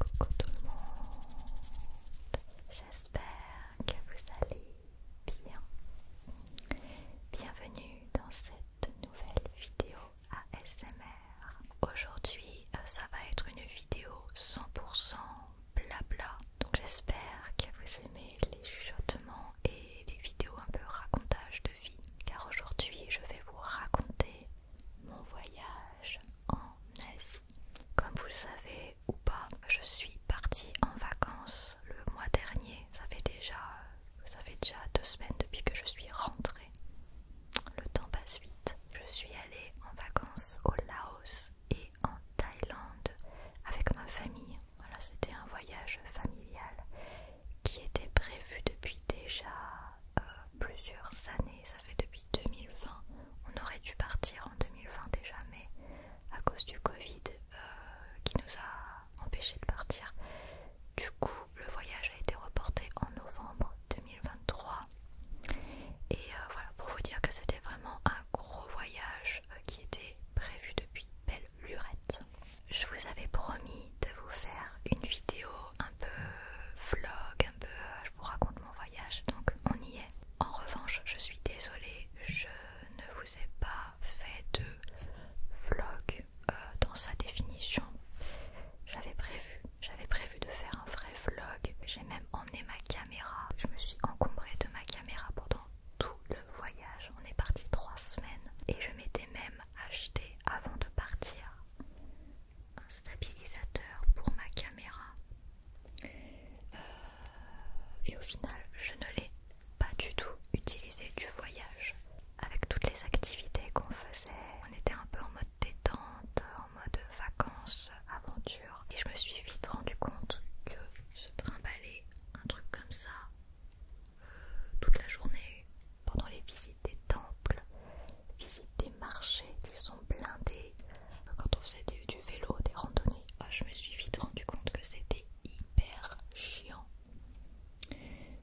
Coucou tout le monde, j'espère que vous allez bien. Bienvenue dans cette nouvelle vidéo ASMR. Aujourd'hui, euh, ça va être une vidéo 100% blabla. Donc j'espère que vous aimez les chuchotements et les vidéos un peu racontage de vie. Car aujourd'hui, je vais vous raconter mon voyage en Asie. Comme vous le savez ou pas, je suis partie en vacances le mois dernier. Ça fait déjà, ça fait déjà deux semaines depuis que je suis rentrée. Le temps passe vite. Je suis allée en vacances au Laos et en Thaïlande avec ma famille. Voilà, c'était un voyage familial qui était prévu depuis déjà euh, plusieurs années, ça fait depuis 2020, on aurait dû partir en 2020 déjà, mais à cause du Covid euh, qui nous a empêchés de partir, du coup le voyage a été reporté en novembre 2023. Et euh, voilà, pour vous dire que c'était vraiment un gros voyage euh, qui était prévu depuis belle lurette. Je vous avais promis de vous faire une vidéo un peu vlog, un peu euh, je vous raconte mon voyage, donc on y est. En revanche, je suis désolée, je ne vous ai pas fait de vlog euh, dans sa définition. J'avais prévu, j'avais prévu de faire un vrai vlog. J'ai même emmené ma caméra. Je me suis encombrée de ma caméra pendant tout le voyage. On est parti trois semaines et je m'étais même acheté avant de partir un stabilisateur pour ma caméra euh, et au final je ne l'ai pas du tout utilisé du voyage avec toutes les activités qu'on faisait on était un peu en mode détente en mode vacances aventure et je me suis vite rendu compte que se trimballer un truc comme ça euh, toute la journée pendant les visites des temples, visites des marchés qui sont blindés. Quand on faisait du vélo, des randonnées, ah, je me suis vite rendu compte que c'était hyper chiant.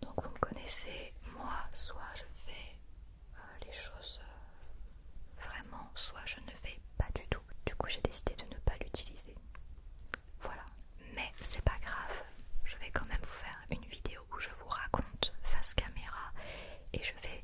Donc vous me connaissez, moi, soit je fais euh, les choses euh, vraiment, soit je ne fais pas du tout. Du coup j'ai décidé de ne pas l'utiliser. Voilà, mais c'est pas grave, je vais quand même vous faire une vidéo où je vous raconte face caméra et je vais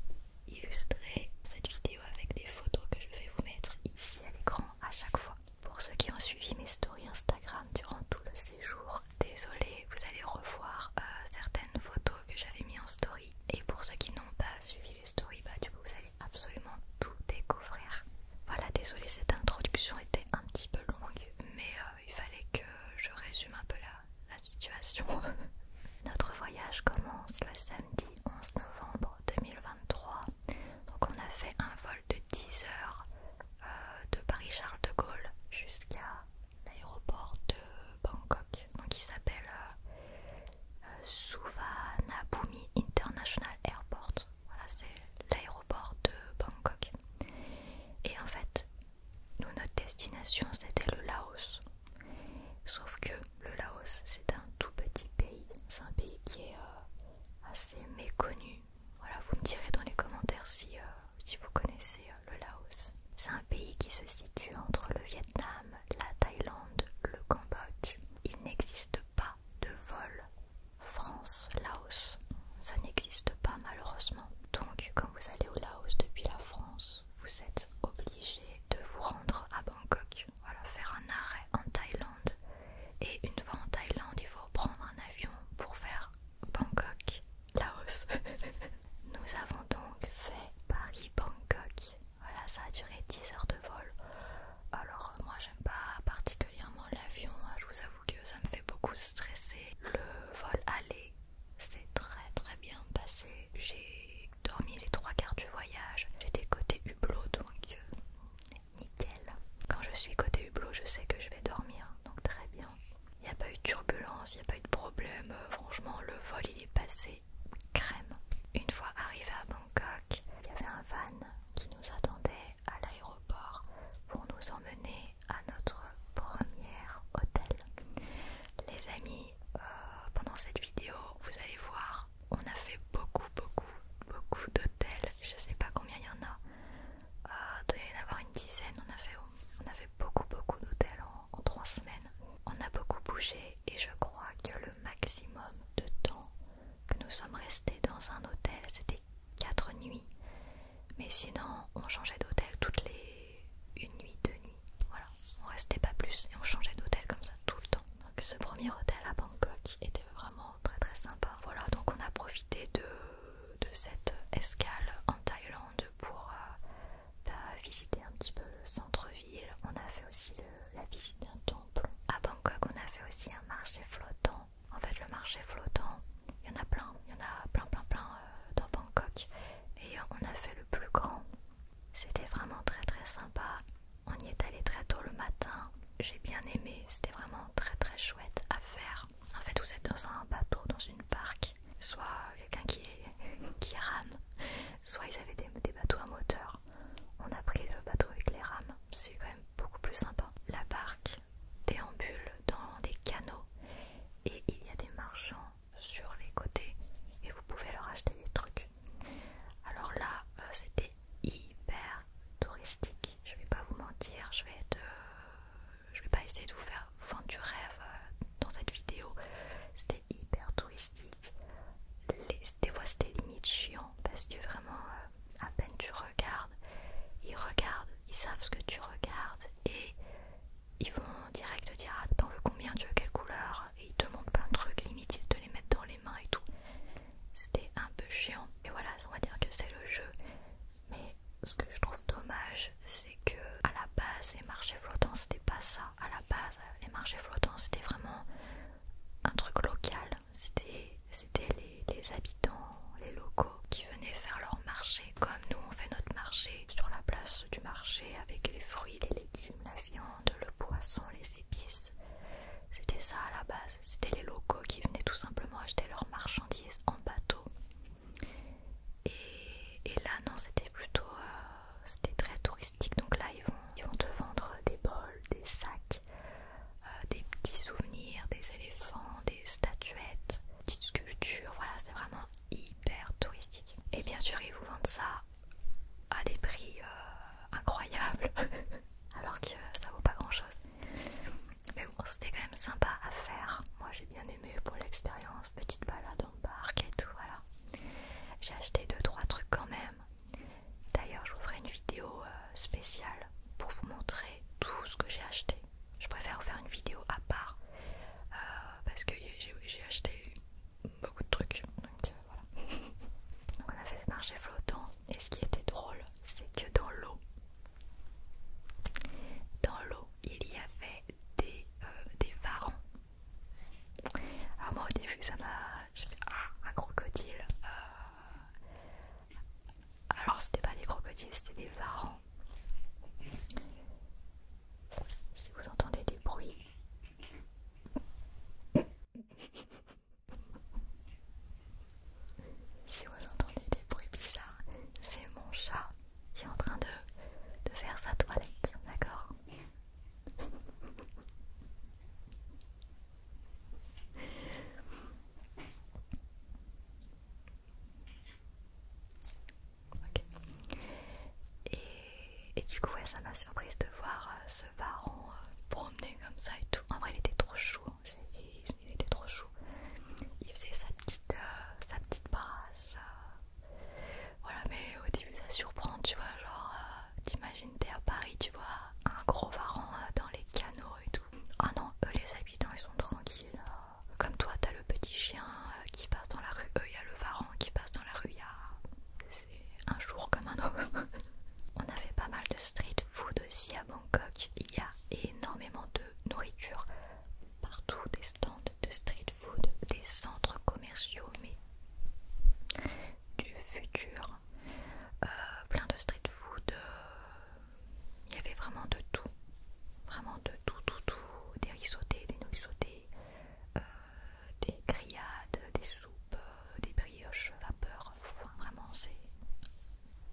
illustrer cette vidéo avec des photos que je vais vous mettre ici à l'écran à chaque fois. Pour ceux qui ont suivi mes stories Instagram durant tout le séjour, désolé, vous allez revoir euh, certaines photos que j'avais mis en story. Et pour ceux qui n'ont pas suivi les stories, bah du coup vous allez absolument tout découvrir. Voilà, désolé, cette introduction était un petit peu longue, mais euh, il fallait que je résume un peu la la situation. Notre voyage commence le samedi 11 novembre 2023. Donc on a fait un vol de 10 heures euh, de Paris-Charles de Gaulle jusqu'à l'aéroport de Bangkok. Donc il s'appelle euh, euh, Suvarnabhumi International Airport. Voilà, c'est l'aéroport de Bangkok. Et en fait, nous, notre destination, c'était le Laos. Sauf que le Laos, c'est un tout petit pays. C'est un pays qui est euh, assez méconnu. Voilà, vous me direz dans les commentaires si, euh, si vous connaissez euh, le Laos. C'est un pays qui se situe entre le Vietnam, la Thaïlande, le Cambodge. Il n'existe pas de vol France-Laos. Ça n'existe pas malheureusement. Donc quand vous allez au Laos depuis la France, vous êtes obligé de vous rendre à Bangkok, voilà, faire un arrêt en Thaïlande. Et une fois en Thaïlande, il faut prendre un avion pour faire Bangkok, Laos. Nous avons donc fait Paris-Bangkok. Voilà, ça a duré 10 heures de vol. Alors euh, moi, j'aime pas particulièrement l'avion. Hein. Je vous avoue que ça me fait beaucoup stresser. Le vol aller c'est très très bien passé. J'ai dormi les trois quarts du voyage. J'étais côté hublot donc euh, nickel. Quand je suis côté hublot, je sais que je vais dormir donc très bien. Il n'y a pas eu de turbulence, il n'y a pas eu de problème. Euh, franchement, le vol il est passé crème. Une fois arrivé à Bangkok, il y avait un van qui nous attendait à l'aéroport pour nous emmener à notre premier hôtel. Les amis, euh, pendant cette vidéo, vous allez voir, on a fait beaucoup, beaucoup, beaucoup d'hôtels. Je sais pas combien il y en a. Euh, il y en avoir une dizaine. On a fait, on beaucoup, beaucoup d'hôtels en, trois semaines. On a beaucoup bougé et je crois que le maximum de temps que nous sommes restés dans un hôtel, c'était quatre nuits. Mais sinon, on changeait d'hôtel toutes les une nuit, deux nuits. Voilà, on restait pas plus et on changeait d'hôtel comme ça tout le temps. Donc ce premier hôtel à Bangkok était vraiment très très sympa. Voilà, donc on a profité de, cette escale en Thaïlande pour euh, bah, visiter un petit peu le centre-ville. On a fait aussi la visite d'un temple. À Bangkok, on a fait aussi un marché flottant. En fait, le marché flottant, il y en a plein, il y en a plein plein plein euh, dans Bangkok et on a fait le plus grand. C'était vraiment très très sympa. On y est allé très tôt le matin. J'ai bien aimé, c'était vraiment très très chouette à faire. En fait, vous êtes dans un bateau, dans une barque, soit quelqu'un qui, rame, soit ils avaient des, des bateaux à moteur. On a pris le bateau avec les rames, c'est quand même beaucoup plus sympa. La barque déambule dans des canaux et il y a des marchands sur les côtés et vous pouvez leur acheter des trucs. Alors là, euh, c'était hyper touristique. Je vais pas vous mentir, je vais être, euh, je vais pas essayer de vous faire vendre du rêve euh, dans cette vidéo. C'était hyper touristique. Les, des fois, c'était limite chiant parce que vraiment, à peine tu regardes, ils regardent, ils savent ce que tu regardes et ils vont direct direct dire ah, t'en veux combien, tu veux quelle couleur et ils te montrent plein de trucs, limite ils te les mettre dans les mains et tout. C'était un peu chiant. Et voilà, on va dire que c'est le jeu. Mais ce que je trouve dommage, c'est que à la base, les marchés flottants, c'était pas ça. À la base, les marchés flottants, c'était vraiment un truc local. C'était les habitants, les locaux qui venaient faire leur marché comme nous on fait notre marché sur la place du marché avec les fruits, les légumes, la viande, le poisson, les épices. C'était ça à la base, c'était les locaux qui venaient tout simplement acheter leurs marchandises en bateau. Et, là non c'était plutôt euh, c'était très touristique donc là ils vont, vont te vendre des bols, des sacs, euh, des petits souvenirs, des éléphants, des statuettes, petites sculptures, voilà c'est vraiment touristique. Et bien sûr, ils vous vendent ça à des prix euh, incroyables, alors que ça vaut pas grand chose. Mais bon, c'était quand même sympa à faire. Moi j'ai bien aimé pour l'expérience, petite balade en barque et tout, voilà. J'ai acheté 2-3 trucs quand même. D'ailleurs, je vous ferai une vidéo euh, spéciale pour vous montrer tout ce que j'ai acheté. Je préfère vous faire une vidéo à part euh, parce que j'ai acheté beaucoup de trucs. Donc euh, voilà. donc on a fait ce marché flottant et ce qui était drôle, c'est que dans l'eau, dans l'eau, il y avait des, euh, des varans. Alors moi au début ça m'a... J'ai fait ah, un crocodile. Alors c'était pas des crocodiles, c'était des varans si vous entendez des bruits. si vous entendez des bruits bizarres, c'est mon chat qui est en train de, de faire sa toilette, d'accord et, du coup, ça m'a surprise de voir euh, ce baron euh, se promener comme ça et tout. En vrai, il était trop chou. Hein. Il, était trop chou. Il faisait sa petite, euh, sa petite brasse. voilà, mais au début, ça surprend, tu vois. Genre, t'imagines, t'es à Paris, tu vois, un gros baron dans les canaux et tout. Ah non, eux, les habitants, ils sont tranquilles. Hein comme toi, t'as le petit chien euh, qui passe dans la rue, il euh, y a le varan qui passe dans la rue, y c'est un jour comme un autre. On avait pas mal de street food aussi à Bangkok, il y a énormément de nourriture partout, des stands de street food, des centres commerciaux, mais du futur, euh, plein de street food, il y avait vraiment de tout, vraiment de tout, tout, tout, des risottés, des nouilles euh, des grillades, des soupes, euh, des brioches vapeur. vraiment, c'est.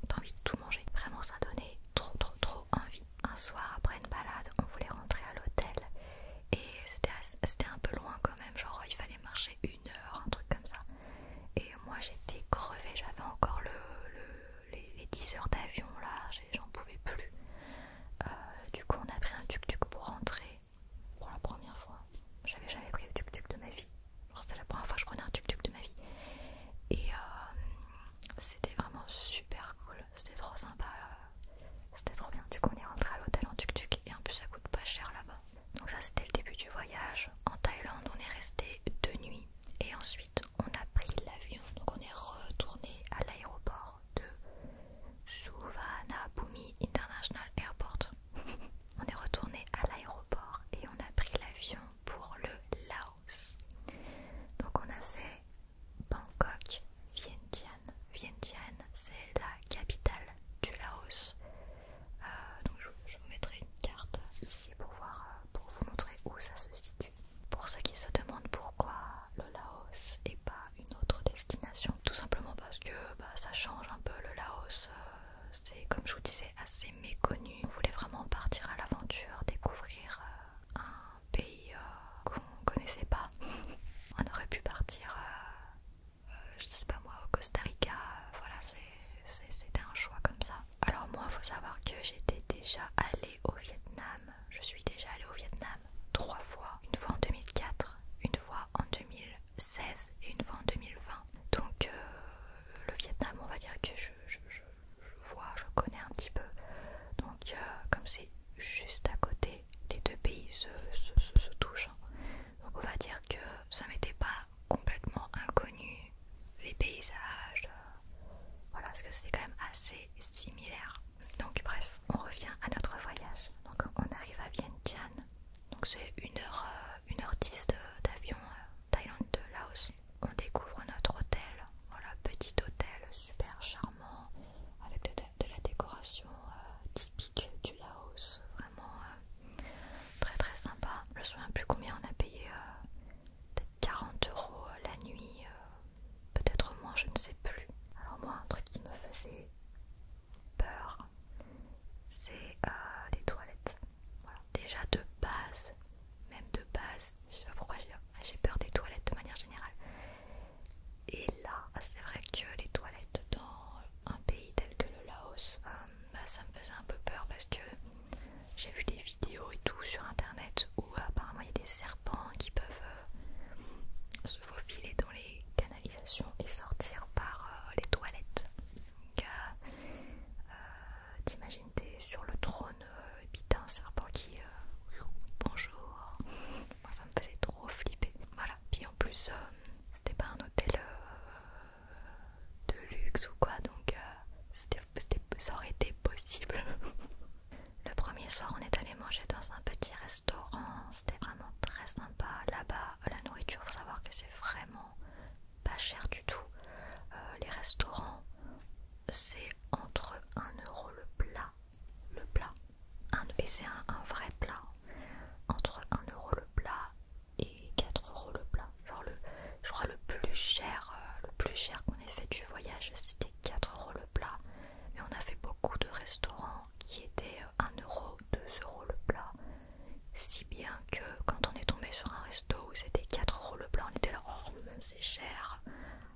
T'as envie de tout manger. Vraiment, ça donnait trop, trop, trop envie. Un soir, après une balade, on voulait rentrer à l'hôtel et c'était un peu loin quand même. Genre, il fallait marcher une heure, un truc comme ça. Et moi, j'étais crevée, j'avais encore les, les 10 heures d'avion là, j'en pouvais plus. Euh, du coup, on a pris un tuk-tuk pour rentrer pour la première fois. J'avais jamais pris le tuk-tuk de ma vie. C'était la première fois que je prenais un tuk-tuk de ma vie. Et euh, c'était vraiment super cool. C'était trop sympa. Euh, c'était trop bien. Du coup, on est rentré à l'hôtel en tuk-tuk et en plus, ça coûte pas cher là-bas. Donc, ça, c'était le début du voyage. En Thaïlande, on est resté deux nuits et ensuite, on a pris l'avion. Donc, on est retourné à l'aéroport de Suvarnabhumi International Airport. on est retourné à l'aéroport et on a pris l'avion pour le Laos. Donc on a fait Bangkok, Vientiane. Vientiane, c'est la capitale du Laos. Euh, donc je, vous mettrai une carte ici pour voir, euh, pour vous montrer où ça se situe. Pour ceux qui se demandent pourquoi le Laos n'est pas une autre destination, tout simplement parce que bah, ça change un peu le Laos. Euh, c'est comme je vous disais assez méconnu. On voulait vraiment partir à l'aventure, découvrir euh, un pays euh, qu'on connaissait pas. On aurait pu partir, je sais pas moi, au Costa Rica. voilà, c'était un choix comme ça. Alors moi, faut savoir que j'étais déjà allée au Vietnam je suis déjà allée au Vietnam trois fois, une fois en 2004, une fois en 2016 et une fois en 2020. Donc euh, le Vietnam, on va dire que je, vois, je connais un petit peu. Donc euh, comme c'est juste à côté, les deux pays se, touchent. Hein. Donc on va dire que ça m'était pas complètement inconnu les paysages, euh, voilà parce que c'est quand même assez similaire. Donc bref, on revient à notre voyage. Donc on arrive à Vientiane. Donc c'est 1h10 heure, euh, d'avion euh, Thaïlande de Laos. On découvre notre hôtel. Voilà, petit hôtel super charmant avec de, la décoration euh, typique du Laos. Vraiment très très sympa. Je ne me souviens plus combien on a payé. peut-être 40 euros la nuit peut-être moins, je ne sais plus. Alors moi, un truc qui me faisait peur, c'est euh, les toilettes. Déjà de base, même de base, je sais pas pourquoi j'ai peur des toilettes de manière générale. Et là, c'est vrai que les toilettes dans un pays tel que le Laos, euh, bah, ça me faisait un peu peur parce que j'ai vu des vidéos et tout sur internet où apparemment il y a des serpents qui peuvent euh, se faufiler dans les canalisations et sortir par euh, les toilettes. Donc, euh, euh, t'imagines t'es sur le trône et puis un serpent qui bonjour. Moi ça me faisait trop flipper. Voilà. Puis en plus c'était pas un hôtel de luxe ou quoi donc ça aurait été possible. Le premier soir, on est allé manger dans un petit restaurant. C'était vraiment très sympa. Là-bas, la nourriture, faut savoir que c'est vraiment pas cher du tout. Euh, les restaurants, c'est entre 1€ euro le plat. Le plat. et c'est un, vrai plat. Entre 1€ euro le plat et 4€ le plat. Genre le, je crois le plus cher, euh, le plus cher qu'on ait fait du voyage, c'était 4€ le plat mais on a fait beaucoup de restaurants qui étaient 1 euh, euro, 2 euros le plat. Si bien que quand on est tombé sur un resto où c'était 4 euros le plat, on était là, oh c'est cher!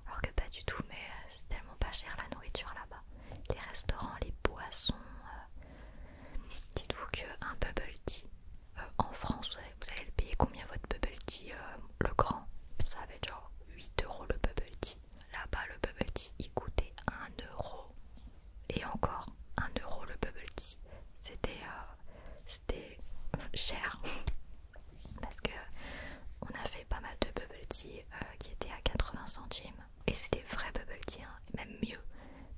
Alors que pas du tout, mais euh, c'est tellement pas cher la nourriture là-bas. Les restaurants, les boissons. Euh, dites-vous qu'un bubble tea en France, vous allez le payer combien votre bubble tea? le grand, ça avait genre 8 euros le bubble tea. Là-bas, le bubble tea il coûtait 1 euro. Et encore 1 euro le bubble tea. Euh, c'était cher. Parce que on a fait pas mal de bubble tea euh, qui était à 80 centimes. Et c'était vrai bubble tea, hein. même mieux.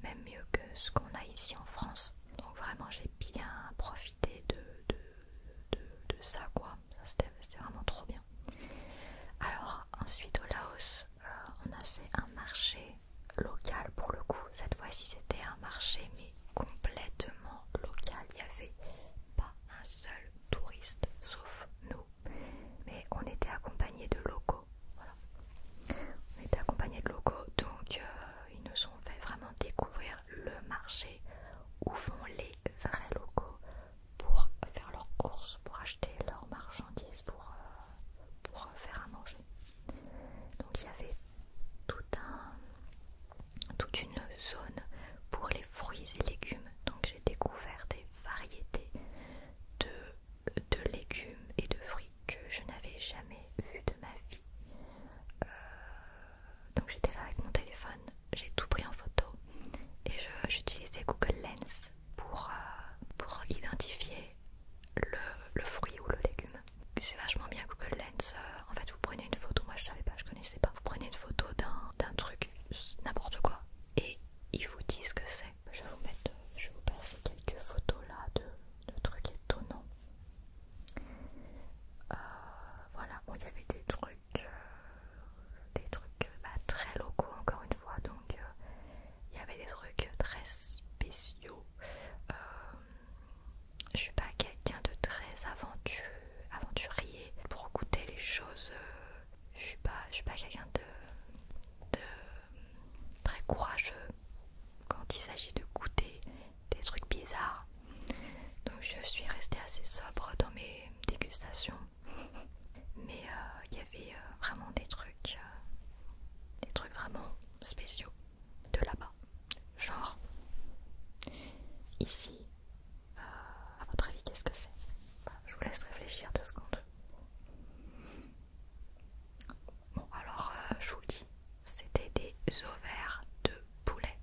Même mieux que ce qu'on a ici en France. Donc vraiment j'ai bien profité de, de de, ça quoi, c'était vraiment trop bien. Alors ensuite au Laos, euh, on a fait un marché local pour le coup, cette fois-ci c'était un marché mais complètement local, il n'y avait pas un seul touriste sauf nous, mais on était accompagnés de locaux, voilà. On était accompagnés de locaux, donc euh, ils nous ont fait vraiment découvrir le marché où vont les vrais locaux, pour faire leurs courses, pour acheter leurs marchandises, pour, euh, pour faire à manger. Donc il y avait tout un, toute une zone pour les fruits et légumes. Donc j'ai découvert des variétés de, de légumes et de fruits que je n'avais jamais vu de ma vie. Euh, donc j'étais là avec mon téléphone j'ai tout pris en photo et j'utilisais Google Lens pour, euh, pour identifier le, le fruit ou le légume. C'est vachement bien Google Lens. Euh, en fait, vous prenez une photo, moi je savais pas, je connaissais pas. Vous prenez une photo d'un d'un truc, n'importe quoi, et ils vous disent ce que c'est. Je vais vous mettre, euh, je vous passer quelques photos là de, de trucs étonnants. voilà, il y avait des trucs des trucs euh, bah, très locaux encore une fois donc euh, il y avait des trucs très spéciaux euh, je suis pas quelqu'un de très aventurier pour goûter les choses je suis pas je suis pas quelqu'un de très courageux quand il s'agit de goûter des trucs bizarres donc je suis restée assez sobre dans mes dégustations mais euh, il y avait euh, vraiment des trucs euh, des trucs vraiment spéciaux de là-bas genre ici à votre avis qu'est-ce que c'est je vous laisse réfléchir deux secondes bon alors je vous dis c'était des ovaires de poulet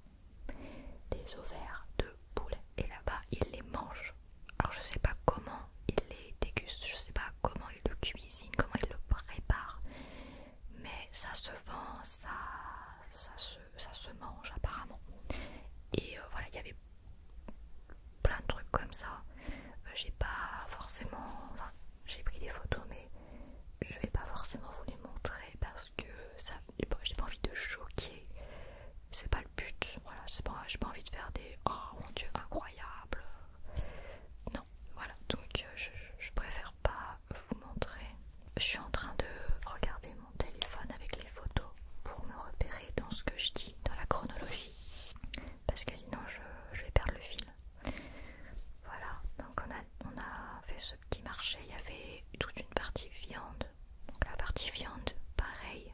des ovaires de poulet et là-bas ils les mangent. Alors je sais pas comment il les déguste, je sais pas comment il le cuisine comment il le prépare, mais ça se vend, ça, ça, se, ça se mange apparemment. Et euh, voilà, il y avait plein de trucs comme ça. Euh, j'ai pas forcément, j'ai pris des photos, mais je vais pas forcément vous les montrer parce que ça j'ai pas, envie de choquer, c'est pas le but, voilà, j'ai pas, envie de faire des oh mon dieu, incroyable, non, voilà, donc euh, je, préfère pas vous montrer. Je suis en train de regarder mon téléphone avec les photos pour me repérer dans ce que je dis, dans la chronologie, parce que sinon je, vais perdre le fil. Voilà, donc on a fait ce petit marché, il y avait toute une partie viande, donc la partie viande pareil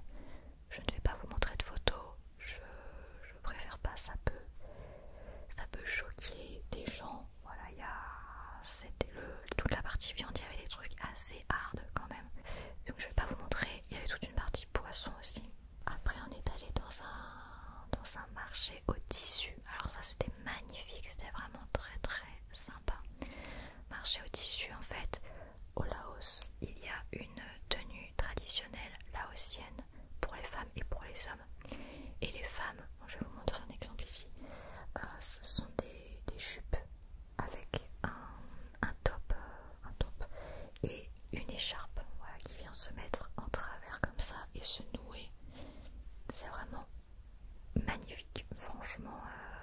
je ne vais pas vous montrer de photos je, préfère pas ça peut choquer des gens voilà il y a toute la partie viande il y avait des trucs assez hard quand même donc je vais pas vous montrer il y avait toute une partie poisson aussi après on est allé dans un dans un marché au tissu alors ça c'était magnifique c'était vraiment très très sympa marché au tissu en fait au Laos, il y a une tenue traditionnelle laotienne pour les femmes et pour les hommes. Et les femmes, je vais vous montrer un exemple ici, euh, ce sont des, chupes jupes avec un, top, euh, un top et une écharpe qui vient se mettre en travers comme ça et se nouer. C'est vraiment magnifique, franchement. Euh,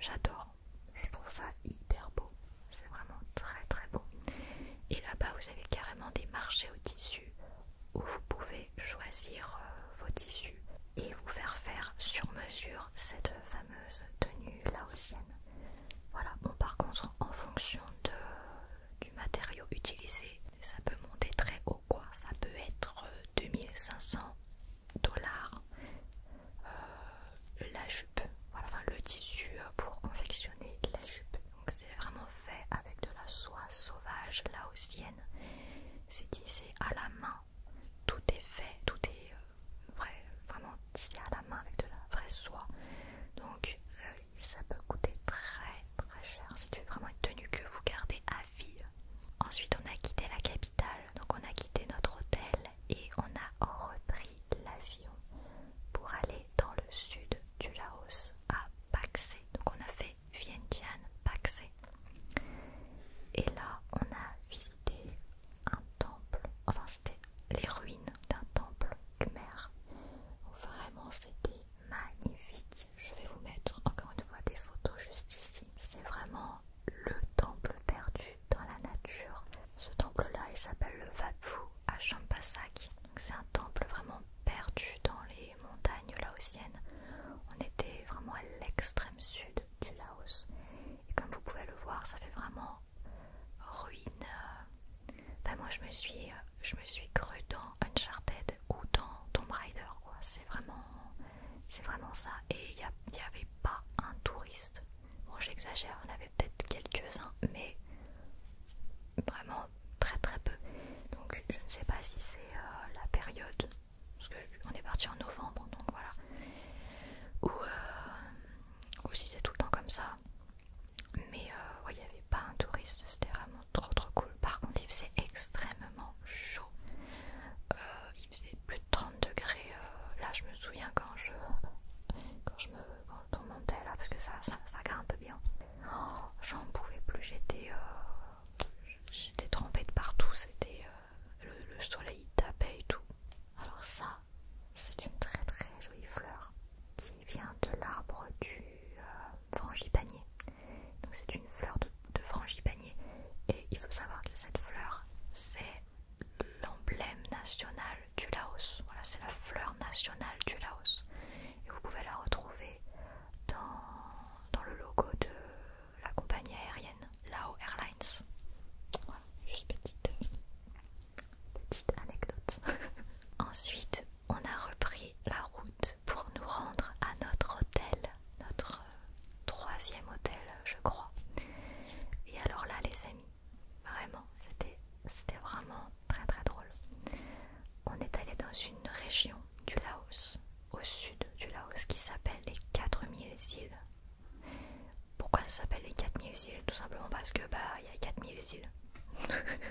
j'adore, je, trouve ça hyper beau, c'est vraiment très très beau. Et là-bas, vous avez carrément des marchés au tissu où vous pouvez choisir euh, vos tissus et vous faire faire sur mesure cette fameuse tenue laotienne. Voilà, bon par contre, en fonction de, du matériau utilisé, ça peut monter très haut quoi, ça peut être 2500 euh, dollars euh, la jupe, enfin, le tissu euh, pour confectionner la jupe. Donc c'est vraiment fait avec de la soie sauvage laotienne. C'est tissé à la main, tout est fait, tout est euh, vrai, vraiment tissé à la main avec de la vraie soie. Donc ça peut coûter très très cher si tu veux vraiment une tenue que vous gardez à vie. Ensuite on a quitté la cabine donc on a quitté notre hôtel et on a repris l'avion pour aller dans le sud du Laos à Paxé. Donc on a fait Vientiane, Paxé. Et là on a visité un temple, enfin c'était les ruines d'un temple khmer. Vraiment c'était magnifique. Je vais vous mettre encore une fois des photos juste ici. C'est vraiment le temple perdu dans la nature. Ce temple-là, il s'appelle le Phu à Champasak. C'est un temple vraiment perdu dans les montagnes laotiennes. On était vraiment à l'extrême sud du Laos. Et comme vous pouvez le voir, ça fait vraiment ruine. Ben moi, je me suis, je me suis cru dans Uncharted ou dans Tomb Raider. C'est vraiment c'est vraiment ça. Et il n'y avait pas un touriste. Bon, j'exagère, on avait peut-être quelques-uns, mais vraiment très très peu. Donc je ne sais pas si c'est euh, la période, parce qu'on est parti en novembre, donc voilà. Euh, ou, si c'est tout le temps comme ça. Mais euh, il n'y avait pas un touriste, c'était vraiment trop trop cool. Par contre, il faisait extrêmement chaud. il faisait plus 30 degrés. Euh, là, je me souviens quand je, quand je me, quand là, parce que ça, ça, grimpe un peu bien. Oh, j'en pouvais plus. J'étais, euh, j'étais trempée de partout. C'était euh, le, soleil tapait et tout. Alors ça, c'est une très très jolie fleur qui vient de l'arbre du frangipanier. Donc c'est une fleur de, de frangipanier. Et il faut savoir que cette fleur, c'est l'emblème national du Laos. Voilà, c'est la fleur nationale du Laos. Et vous pouvez la retrouver dans, le logo de la compagnie aérienne Lao Airlines. Voilà, juste petite anecdote. Ensuite, on a repris la route pour nous rendre à notre hôtel notre euh, troisième hôtel, je crois. Et alors là, les amis, vraiment, c'était vraiment très très drôle. On est allé dans une région du Laos, au sud du Laos, qui s'appelle les 4000 îles. Pourquoi ça s'appelle les 4000 îles Tout simplement parce que bah il y a 4000 îles.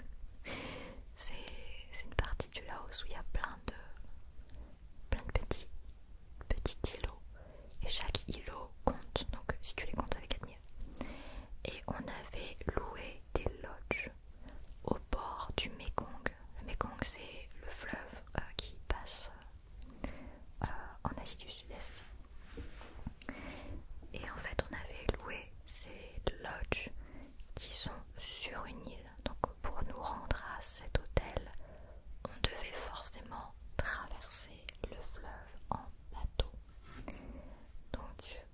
C'est une partie du Laos où il y a plein de, plein de petits Petit îlot, et chaque îlot compte, donc si tu les comptes avec 4000 Et on avait loué des lodges au bord du Mekong. Le Mekong c'est le fleuve euh, qui passe euh, en Asie du Sud-Est. Et en fait on avait loué ces lodges qui sont sur une île. Donc pour nous rendre à cet hôtel, on devait forcément Traverser le fleuve en bateau. Donc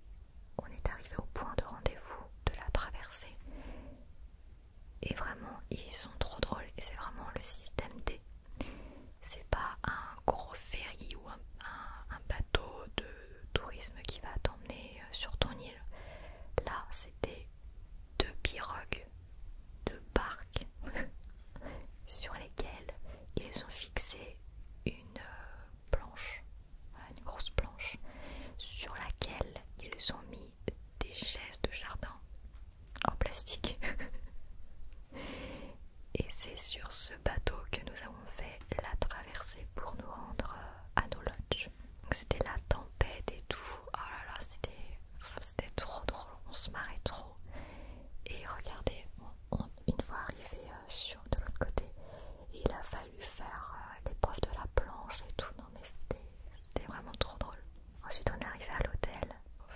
on est arrivé au point de rendez-vous de la traversée. Et vraiment, ils sont trop drôles. Et c'est vraiment le système D. C'est pas un gros ferry ou un bateau de tourisme qui va t'emmener euh, sur ton île. Là, c'était deux pirogues de barques sur lesquelles ils ont fixé une euh, planche, une grosse planche, sur laquelle ils ont mis des chaises de jardin en plastique. Et c'est sur ce bateau que nous avons fait la traversée pour nous rendre euh, à nos lodges. Donc c'était la tempête et tout. Oh là là, c'était trop drôle on se marrait trop. Et regardez, une fois arrivé euh, sur de l'autre côté, il a fallu faire des euh, l'épreuve de la planche et tout. Non mais c'était vraiment trop drôle. Ensuite on est arrivé à l'hôtel.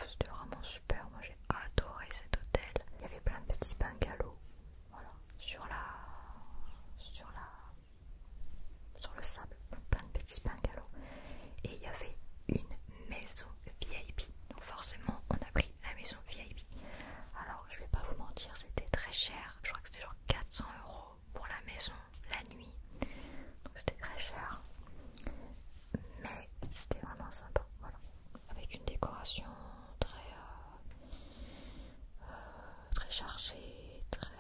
C'était vraiment super, moi j'ai adoré cet hôtel. Il y avait plein de petits bungalows. Voilà, sur la. sur la. sur le sable, plein de petits bungalows. Et il y avait une maison VIP. Donc forcément, on a pris la maison VIP. Alors, je vais pas vous mentir, c'était très cher. Je crois que c'était genre 400 euros pour la maison la nuit. Donc c'était très cher. Mais c'était vraiment sympa. Voilà. Avec une décoration très euh, euh, très chargée, très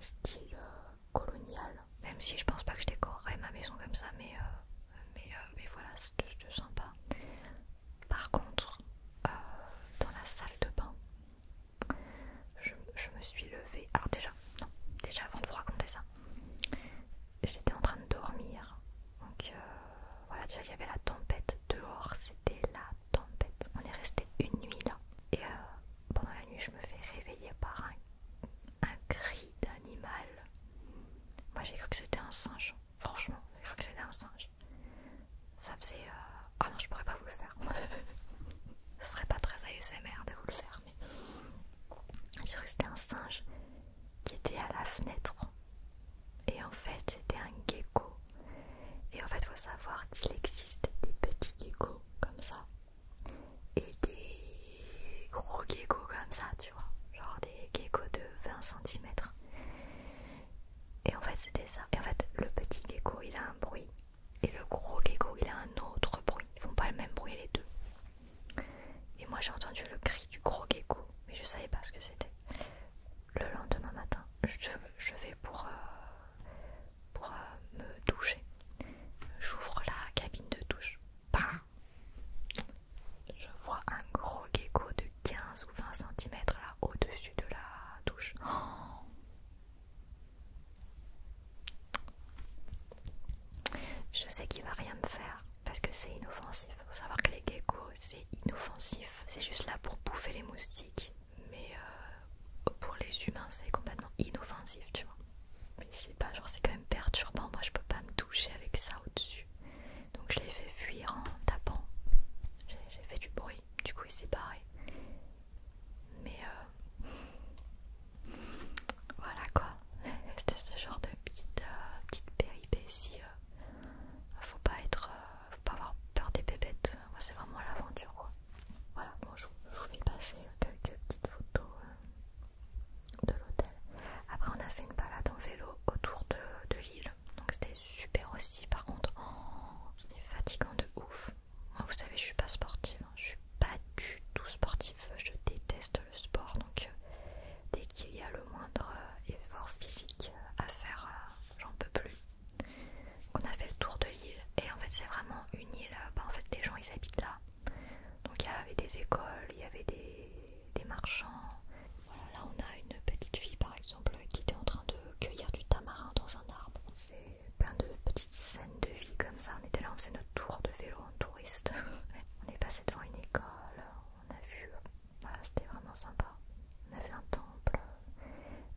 style euh, coloniale. Même si je pense pas que je décorerais ma maison comme ça, mais, euh, euh, mais, voilà, c'est sympa. Par contre, euh, dans la salle de bain, je, me suis levée. Alors, déjà, non, déjà avant de vous raconter ça, j'étais en train de dormir. Donc, voilà, déjà, il y avait la tempête dehors, c'était la tempête. On est resté une nuit là. Et pendant la nuit, je me fais réveiller par un un cri d'animal. Moi j'ai cru que c'était un singe. Franchement, j'ai cru que c'était un singe. Ça faisait... Euh, ah non, je pourrais pas vous le faire. Ce serait pas très ASMR de vous le faire. Mais... J'ai cru que c'était un singe qui était à la fenêtre. Et en fait, c'était un gecko. Et en fait, faut savoir qu'il existe des petits geckos comme ça et des gros geckos comme ça, tu vois, genre des geckos de 20 cm. Et en fait, c'était ça. Et en fait, le petit gecko il a un bruit et le gros gecko il a un autre bruit. Ils font pas le même bruit les deux. Et moi j'ai entendu le cri du gros gecko, mais je savais pas ce que c'était. Le lendemain matin, je, vais pour, euh, pour euh, me doucher. J'ouvre la cabine de douche je vois un gros gecko de 15 ou 20 cm là au-dessus de la douche. Oh je sais qu'il va rien me faire parce que c'est inoffensif. Faut savoir que les geckos c'est inoffensif, c'est juste là pour bouffer les moustiques, mais euh, pour les humains c'est complètement inoffensif, tu vois pas, c'est quand même perturbant. Moi je peux pas me toucher avec ça au-dessus. Donc je l'ai fait fuir en tapant. J'ai fait du bruit, du coup il s'est barré. Mais euh, voilà quoi. C'était ce genre de petite, euh, petite péripétie. Euh. faut pas être, faut pas avoir peur des bébêtes. c'est vraiment l'aventure quoi. Voilà, bon je, vous vais passer quelques petites photos de l'hôtel. Après, on a fait une balade en vélo autour de, de l'île. Donc, c'était super aussi. Par contre, oh, c'était fatigant de ouf. vous savez, je suis pas sportive. Hein. Je suis pas du tout sportive. Je déteste le sport. Donc, euh, dès qu'il y a le moindre euh, effort physique euh, à faire, j'en peux plus. on a fait le tour de l'île. Et en fait, c'est vraiment une île. Bah, en fait, les gens, ils habitent là. Donc il y avait des écoles, il y avait des, marchands. Voilà, là on a une petite fille par exemple qui était en train de cueillir du tamarin dans un arbre. C'est plein de petites scènes de vie comme ça. On était là, on faisait notre tour de vélo en touriste. on est passé devant une école, on a vu. Voilà, c'était vraiment sympa. On avait un temple,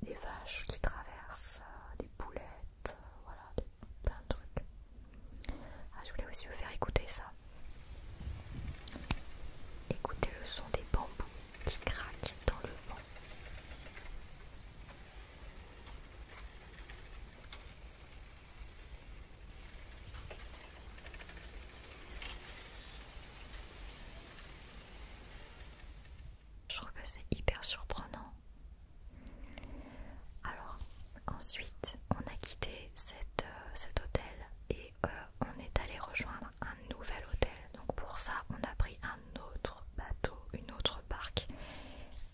des vaches qui traversent, euh, des poulettes, euh, voilà, plein de trucs. Ah, je voulais aussi vous faire écouter ça. Écoutez le son des bambous qui craquent dans le vent. Je trouve que c'est hyper surprenant alors ensuite on a quitté euh, cet hôtel et euh, on est allé rejoindre un nouvel hôtel. Donc pour ça on a pris un autre bateau, une autre barque.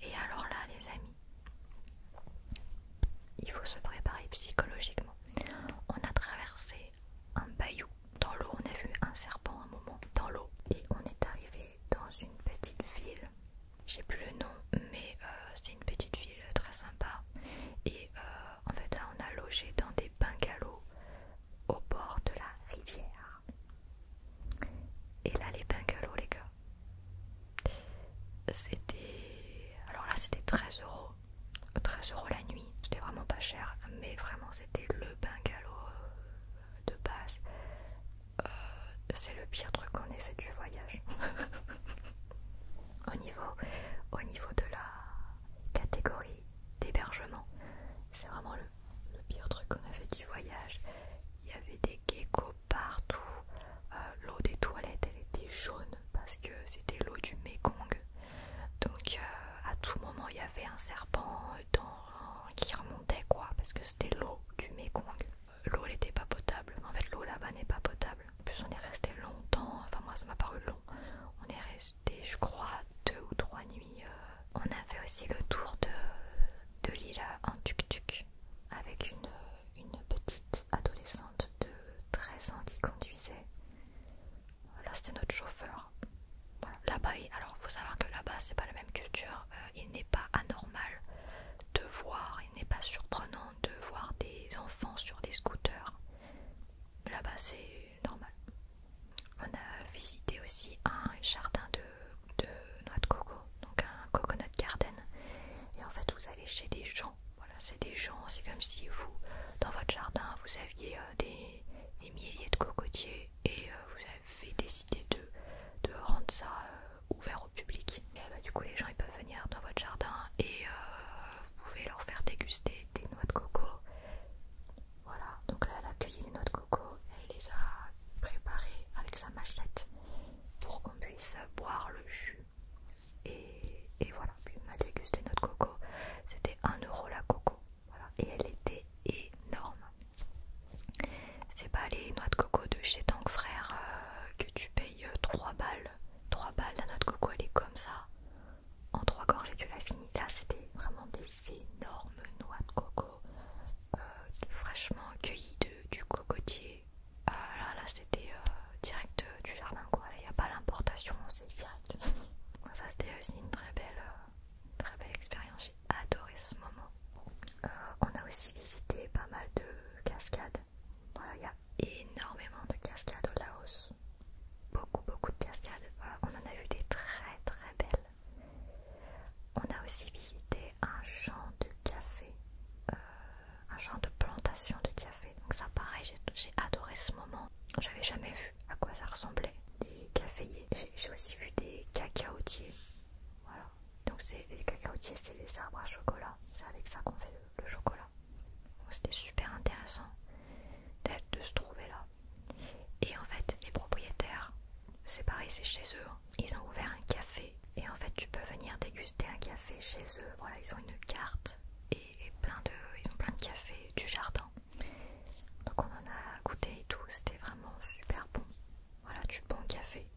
Et alors là les amis, il faut se préparer psychologiquement. On a traversé un bayou. Dans l'eau on a vu un serpent un moment dans l'eau et on est arrivé dans une petite ville. J'ai plus le nom, mais euh, c'était une petite ville très sympa. Et euh, en fait, là, on a logé dans des bungalows au bord de la rivière. Et là, les bungalows, les gars, c'était. Alors là, c'était 13 euros. 13 euros la nuit, c'était vraiment pas cher, mais vraiment, c'était le bungalow euh, de base euh, c'est le pire truc qu'on ait fait du voyage. au, niveau, de la catégorie d'hébergement, c'est vraiment le, pire truc qu'on fait du voyage. Il y avait des geckos partout. Euh, l'eau des toilettes, elle était jaune parce que c'était l'eau du Mekong. Donc euh, à tout moment, il y avait un serpent qui remontait quoi, parce que c'était l'eau du Mekong l'eau n'était pas potable. En fait l'eau là-bas n'est pas potable. En plus on est resté longtemps, enfin moi ça m'a paru long. On est resté je crois deux ou trois nuits. Euh. On a fait aussi le tour de, de l'île en tuk-tuk avec une, petite adolescente de 13 ans qui conduisait. Là c'était notre chauffeur. Voilà. Là-bas, alors faut savoir que là-bas c'est pas la même culture. Euh, il n'est pas anormal de voir, il n'est pas surprenant de voir des enfants sur des scooters. Là-bas, c'est normal. On a visité aussi un jardin de, noix de coco, donc un coconut garden. Et en fait, vous allez chez des gens. Voilà, c'est des gens, c'est comme si vous, dans votre jardin, vous aviez euh, des, milliers de cocotiers et euh, vous avez décidé de, rendre ça euh, ouvert ouvert public. Et euh, bah, du coup, les gens ils peuvent venir dans votre jardin et euh, vous pouvez leur faire déguster des noix de coco. Voilà, donc là, elle a cueilli les noix de coco, elle les a préparées avec sa machette pour qu'on puisse boire le jus. Et, voilà, puis on a dégusté notre coco, c'était un euro la coco, et elle était énorme. C'est pas les noix de coco de chez Tank Frère euh, que tu payes 3 euh, balles. 3 balles, la noix de coco elle est comme ça. En 3 et tu l'as finis. Là c'était vraiment des énormes noix de coco euh, fraîchement cueillies du cocotier. là, c'était direct du jardin quoi. Il n'y a pas l'importation, c'est direct. ça c'était aussi une très belle, expérience. J'ai adoré ce moment. on a aussi visité pas mal de cascades voilà, il y a énormément de cascades au Laos. Beaucoup, beaucoup de cascades. Euh, on en a vu des très, très belles. On a aussi visité un champ de café, euh, un champ de plantation de café. Donc ça, pareil, j'ai adoré ce moment. J'avais jamais vu à quoi ça ressemblait. Des caféiers. J'ai aussi vu des cacaotiers. Voilà, donc c'est les cacaotiers, c'est les arbres à chocolat. C'est avec ça qu'on fait le, chocolat. C'était super intéressant de se trouver là. Et en fait, les propriétaires, c'est pareil, c'est chez eux. Hein. Ils ont ouvert un café et en fait, tu peux venir déguster un café chez eux. Voilà, ils ont une carte et, plein ils ont plein de cafés du jardin. Donc on en a goûté et tout. C'était vraiment super bon. Voilà, du bon café.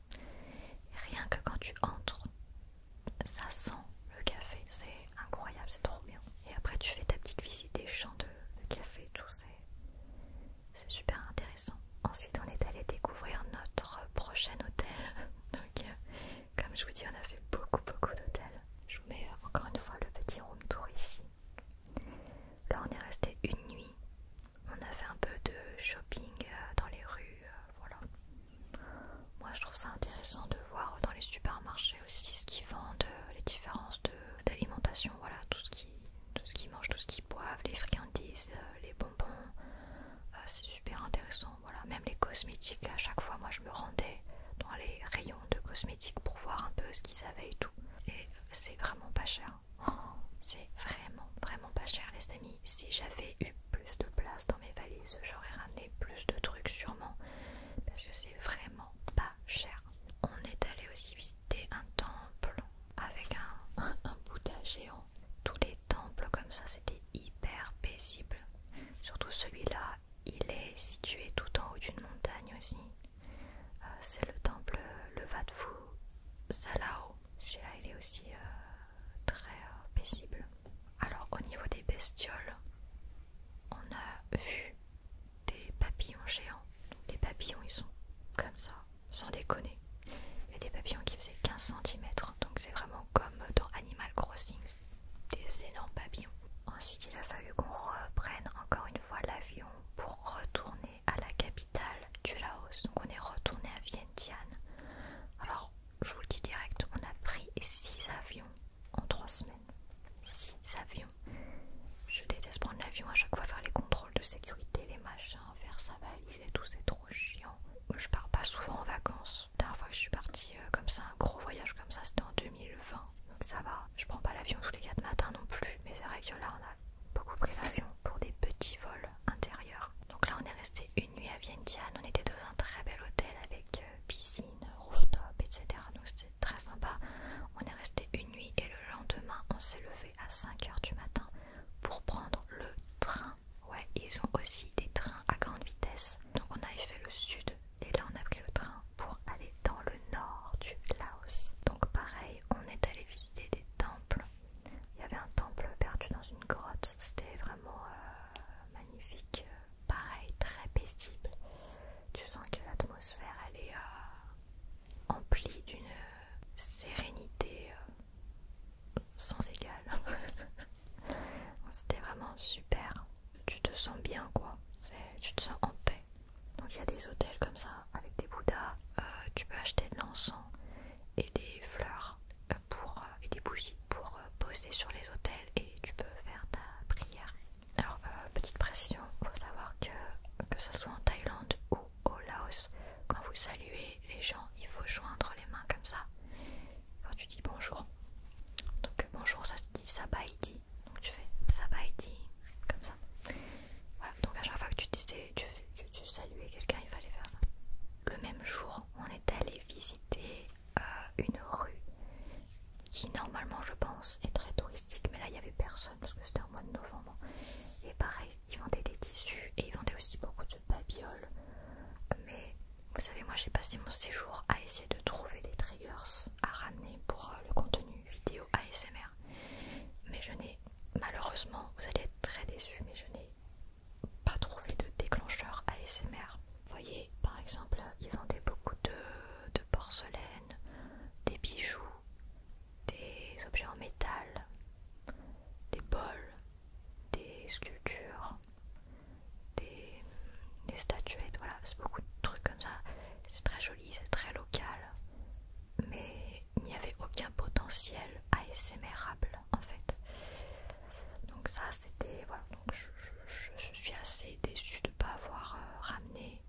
Rien que quand tu entres, ça sent le café, c'est incroyable, c'est trop bien. Et après tu fais ta petite visite des champs de, café, tout c'est super intéressant. Ensuite on est allé découvrir notre prochain hôtel. Donc euh, comme je vous dis on a fait beaucoup beaucoup d'hôtels. Je vous mets encore une fois le petit room tour ici. Là on est resté une nuit on a fait un peu de shopping euh, dans les rues, euh, voilà. Moi je trouve ça intéressant de voir dans les supermarchés aussi ce qu'ils vendent, euh, les différences d'alimentation, voilà, tout ce qu'ils qui mangent, tout ce qu'ils boivent, les friandises, les bonbons, c'est super intéressant, voilà. Même les cosmétiques, à chaque fois moi je me rendais dans les rayons de cosmétiques pour voir un peu ce qu'ils avaient et tout. Et c'est vraiment pas cher. Oh, c'est vraiment, vraiment pas cher les amis si j'avais eu plus de place dans mes valises, j'aurais ramené plus de trucs sûrement, parce que c'est vraiment pas cher. On est allé aussi visiter un temple avec un, Bouddha géant. Tous les temples comme ça, c'était hyper paisible. Surtout celui-là, il est situé tout en haut d'une montagne aussi. Euh, c'est le temple le Levatfu Salao. Celui-là, il est aussi euh, très euh, paisible. Alors, au niveau des bestioles, on a vu des papillons géants. Les papillons, ils sont comme ça, sans déconner. Il y des papillons qui faisaient 15 cm, donc c'est vraiment comme dans Animal Crossing, des énormes papillons. Ensuite, il a fallu qu'on reprenne encore une fois l'avion pour retourner à la capitale du Laos. Donc, on est retourné à Vientiane. Alors, je vous le dis direct, on a pris 6 avions en 3 semaines. 6 avions. Je déteste prendre l'avion à chaque fois, faire les contrôles de sécurité, les machins, faire sa valise et tout, c'est trop chiant. Je pars pas souvent en vacances. La dernière fois que je suis partie euh, comme ça, un gros voyage comme ça, c'était en 2020. Donc ça va, je prends pas l'avion tous les 4 matins non plus. Mais c'est vrai que là, on a beaucoup pris l'avion pour des petits vols intérieurs. Donc là, on est resté une nuit à Vientiane, on était dans un très bel hôtel avec euh, piscine, rooftop, etc. Donc c'était très sympa. On est resté une nuit et le lendemain, on s'est levé à 5h du matin pour prendre le train. Ouais, ils ont aussi des trains à grande vitesse. Donc on avait fait le sud et là on a pris le train pour aller dans le nord du Laos. Donc pareil, on est allé visiter des temples il y avait un temple perdu dans une grotte. C'était vraiment euh, magnifique. Euh, pareil, très paisible. Tu sens que l'atmosphère, elle est euh, emplie d'une sérénité sans égale. C'était vraiment super. Tu te sens bien, quoi. Tu te sens en paix. Donc il y a des hôtels comme ça avec des bouddhas. tu peux acheter de l'encens et des fleurs pour, euh, et des bougies pour euh, poser sur les hôtels et tu peux faire ta prière. Alors, euh, petite précision, faut savoir que que ce soit en Thaïlande ou au Laos, quand vous saluez les gens, il faut joindre les mains comme ça. Quand tu dis bonjour, donc bonjour ça se dit sabaidi, donc tu fais sabaidi comme ça. Voilà, donc à chaque fois que tu tu, saluais quelqu'un, il fallait faire le même jour, on est allé visiter euh, une rue qui normalement je pense est très touristique mais là il n'y avait personne parce que c'était au mois de novembre et pareil ils vendaient des tissus et ils vendaient aussi beaucoup de babioles mais vous savez moi j'ai passé mon séjour à essayer de trouver des triggers à ramener pour euh, le contenu vidéo ASMR mais je n'ai malheureusement vous allez être très déçus mais je n'ai pas trouvé de déclencheur ASMR. Vous voyez, par exemple, ils vendaient beaucoup de, porcelaine, des bijoux, des objets en métal, des bols, des sculptures, des, des statuettes, voilà, c'est beaucoup de trucs comme ça. C'est très joli, c'est très local, mais il n'y avait aucun potentiel ASMRable en fait. Donc ça c'était voilà, donc je, suis assez déçue de ne pas avoir euh, ramené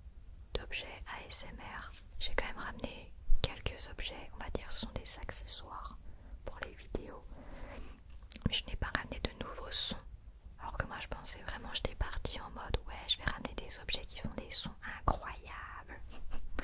d'objets ASMR. J'ai quand même ramené quelques objets, on va dire ce sont des accessoires pour les vidéos. Mais je n'ai pas ramené de nouveaux sons. Alors que moi je pensais vraiment j'étais partie en mode ouais je vais ramener des objets qui font des sons incroyables.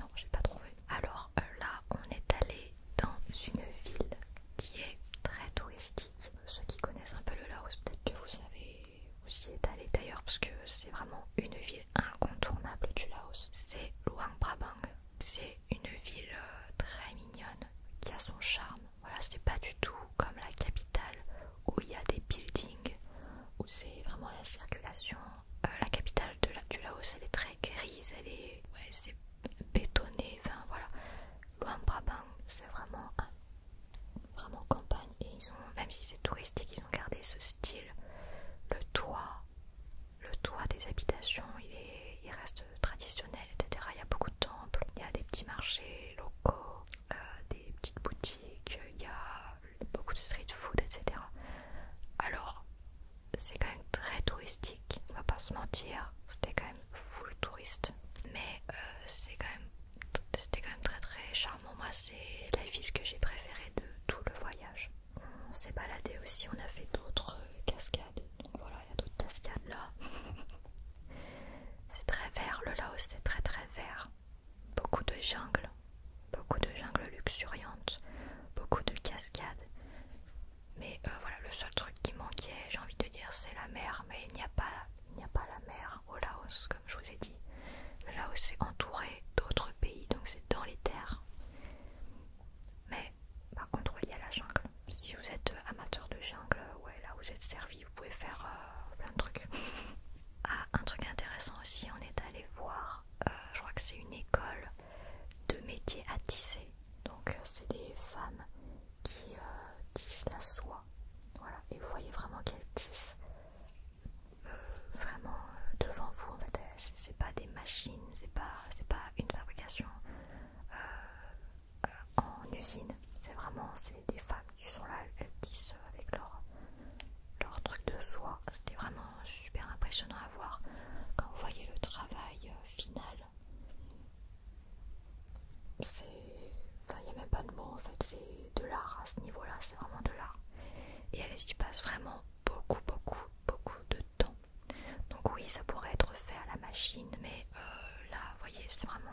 non j'ai pas trouvé. Alors euh, là, on est allé dans une ville qui est très touristique. Ceux qui connaissent un peu le Laos, peut-être que vous avez y êtes allé d'ailleurs, parce que c'est vraiment une ville incontournable du Laos. C'est Luang Prabang. C'est une ville euh, très mignonne qui a son charme. Voilà, c'est pas du tout comme la capitale où il y a des buildings, où c'est vraiment la circulation. Euh, la capitale, de la, du Laos, elle est très grise, elle est, ouais, c'est bétonné, enfin voilà. Luang Prabang, c'est vraiment vraiment campagne et ils ont, même si c'est touristique, ils ont gardé ce style. Le toit, le toit des habitations, il, est, il reste traditionnel, etc. Il y a beaucoup de temples, il y a des petits marchés locaux, euh, des petites boutiques, il y a beaucoup de street food, etc. Alors c'est quand même très touristique, on va pas se mentir, c'était quand même full touriste, mais euh, c'est quand même c'était quand même très très charmant. Moi, c'est la ville que j'ai préférée de tout le voyage. On s'est baladé aussi, on a fait d'autres euh, cascades. Donc voilà, il y a d'autres cascades là. c'est très vert, le Laos, c'est très très vert. Beaucoup de jungle, beaucoup de jungle luxuriante, beaucoup de cascades. Mais euh, voilà, le seul truc qui manquait, j'ai envie de dire, c'est la mer. Mais il n'y a, pas, il n'y a pas la mer au Laos, comme je vous ai dit. Le Laos est entouré d'autres pays, donc c'est dans les terres. Mais par contre, il y a la jungle. Si vous êtes euh, amateur de jungle, ouais, là vous êtes servi, vous pouvez faire euh, plein de trucs. ah, un truc intéressant aussi, on est allé voir, je crois que c'est une école de métiers à tisser. Donc euh, c'est des femmes qui euh, tissent la soie. Voilà. Et vous voyez vraiment qu'elles tissent euh, vraiment devant vous. En fait, c'est pas des machines, c'est pas, pas une fabrication en usine. C'est vraiment c'est des femmes qui sont là, elles tissent avec leur, leur truc de soie. C'était vraiment super impressionnant à voir quand vous voyez le travail euh, final. C'est. Enfin, il n'y a même pas de mots en fait, c'est de l'art à ce niveau-là, c'est vraiment de l'art. Et elle y passe vraiment beaucoup, beaucoup, beaucoup de temps. Donc, oui, ça pourrait être fait à la machine, mais euh, là, vous voyez, c'est vraiment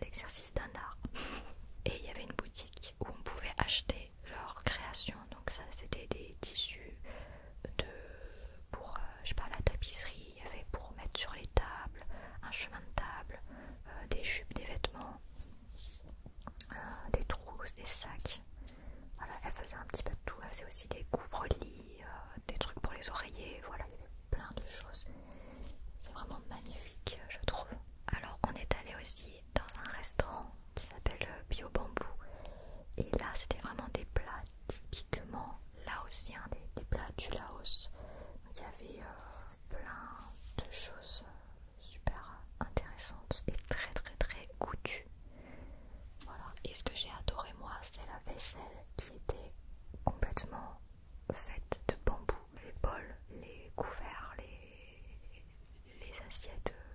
l'exercice d'un art. Et il y avait une boutique où on pouvait acheter leurs créations donc ça c'était des tissus, de, pour euh, je la tapisserie, il y avait pour mettre sur les tables, un chemin de table, euh, des jupes, des vêtements, euh, des trousses, des sacs. elle faisait un petit peu de tout, elle faisait aussi des couvre-lits, des trucs pour les oreillers, voilà, il plein de choses. C'est vraiment magnifique, je trouve. Alors, on est allé aussi dans un restaurant qui s'appelle Bio Bambou. Et là, c'était vraiment des plats typiquement laotien, hein, des, plats du Laos. Il y avait euh, plein de choses euh, super intéressantes et très très très goûtues. Voilà. Et ce que j'ai adoré moi, c'est la vaisselle qui était complètement faite de bambou. Les bols, les couverts, les assiettes euh,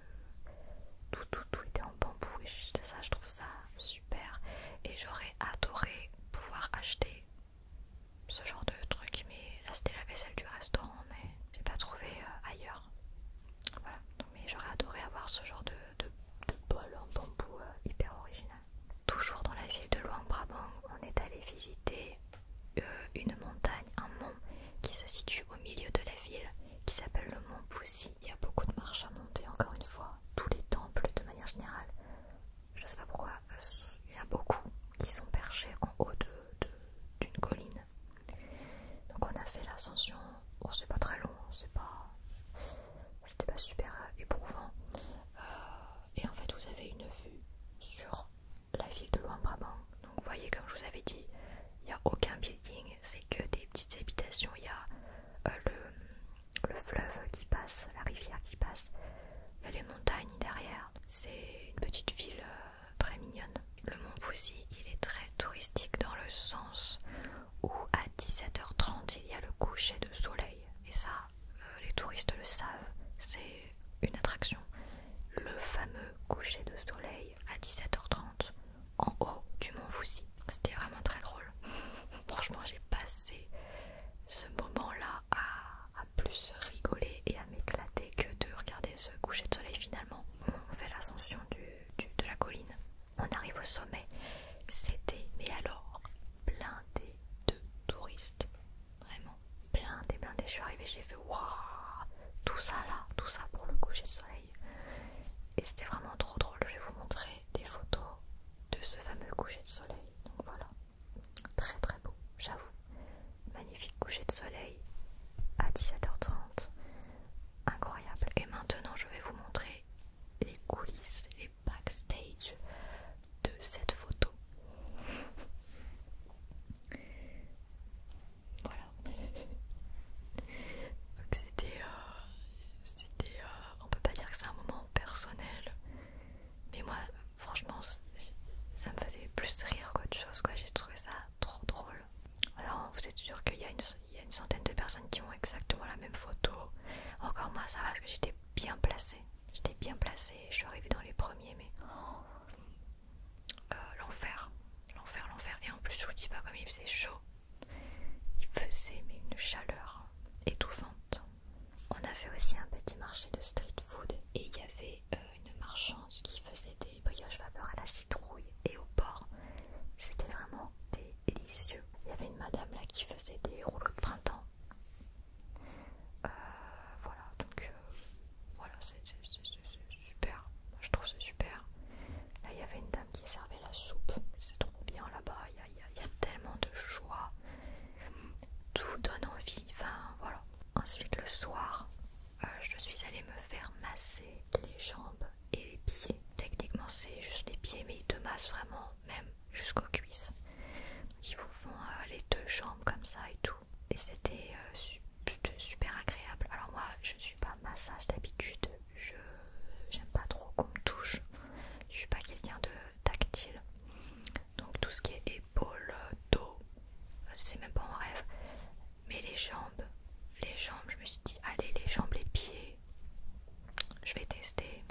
tout tout tout était en bambou et ça je trouve ça super et j'aurais adoré pouvoir acheter ce genre de truc mais là c'était la vaisselle du restaurant mais j'ai pas trouvé euh, ailleurs voilà mais j'aurais adoré avoir ce genre de, de, bol en bambou euh, hyper original toujours dans la ville de Luang Prabang on est allé visiter euh, une montagne un mont qui se situe au milieu de la ville qui s'appelle le mont Poussi il y a beaucoup de marches à monter, encore une fois. Tous les temples, de manière générale, je ne sais pas pourquoi, euh, il y a beaucoup qui sont perchés en haut d'une colline. Donc on a fait l'ascension, c'est pas très long, c'est pas... C'était pas super éprouvant. Euh, et en fait, vous avez une vue sur la ville de Luang Prabang. Donc, vous voyez, comme je vous avais dit, il n'y a aucun building, c'est que des petites habitations. Il y a euh, le, fleuve qui passe, la rivière qui passe, il y a les montagnes derrière. C'est une petite ville euh, très mignonne. Le Mont Fuji, il est très touristique dans le sens où à 17h30 il y a le coucher de soleil. Et ça, euh, les touristes le savent, c'est une attraction. Le fameux coucher de soleil à 17h30 en haut du Mont Foussi. C'était vraiment très drôle. Franchement, j'ai passé ce moment-là à, plus rigoler et à m'éclater que de regarder ce coucher de soleil finalement. On fait l'ascension de la colline, on arrive au sommet. C'était, mais alors, blindé de touristes. Vraiment, plein blindé, blindé. Je suis arrivée, j'ai fait waouh, tout ça là, tout ça pour le coucher de soleil et c'était vraiment trop drôle. Je vais vous montrer des photos de ce fameux coucher de soleil. Donc voilà, très très beau, j'avoue. Magnifique coucher de soleil à 17h30, incroyable. Et maintenant, je vais vous montrer les coulisses, les backstage de cette photo. voilà, donc c'était... Euh, euh, on peut pas dire que c'est un moment personnel, mais moi franchement ça me faisait plus rire qu'autre chose quoi, j'ai trouvé ça trop drôle. Alors vous êtes sûr qu'il y, a une centaine de personnes qui ont exactement la même photo. Encore moi ça va parce que j'étais bien placée. J'étais bien placée, je suis arrivée dans les premiers mais... Euh, l'enfer, l'enfer, l'enfer. Et en plus je vous dis pas comme il faisait chaud. Il faisait une chaleur étouffante. On avait aussi un petit marché de street food et il y avait euh, une marchande qui faisait des brioches vapeur à la citrouille et au porc. C'était vraiment délicieux. Il y avait une madame là qui faisait des rouleaux de printemps. Euh, voilà, donc euh, voilà, c'est super. je trouve c'est super. Là, il y avait une dame qui servait la soupe. C'est trop bien là-bas. Il y, a tellement de choix. Tout donne envie. Enfin, voilà. Ensuite, le soir, euh, je suis allée me faire masser les jambes et les pieds. Techniquement, c'est juste les pieds, mais ils te massent vraiment, même jusqu'aux cuisses. Ils vous font euh, les deux jambes comme ça et tout. Et c'était euh, super agréable. Alors, moi, je ne suis pas massage d'habitude, je j'aime pas trop qu'on me touche. Je suis pas quelqu'un de tactile. Donc tout ce qui est épaule, dos, c'est même pas mon rêve. Mais les jambes, les jambes, je me suis dit allez les jambes, les pieds, je vais tester.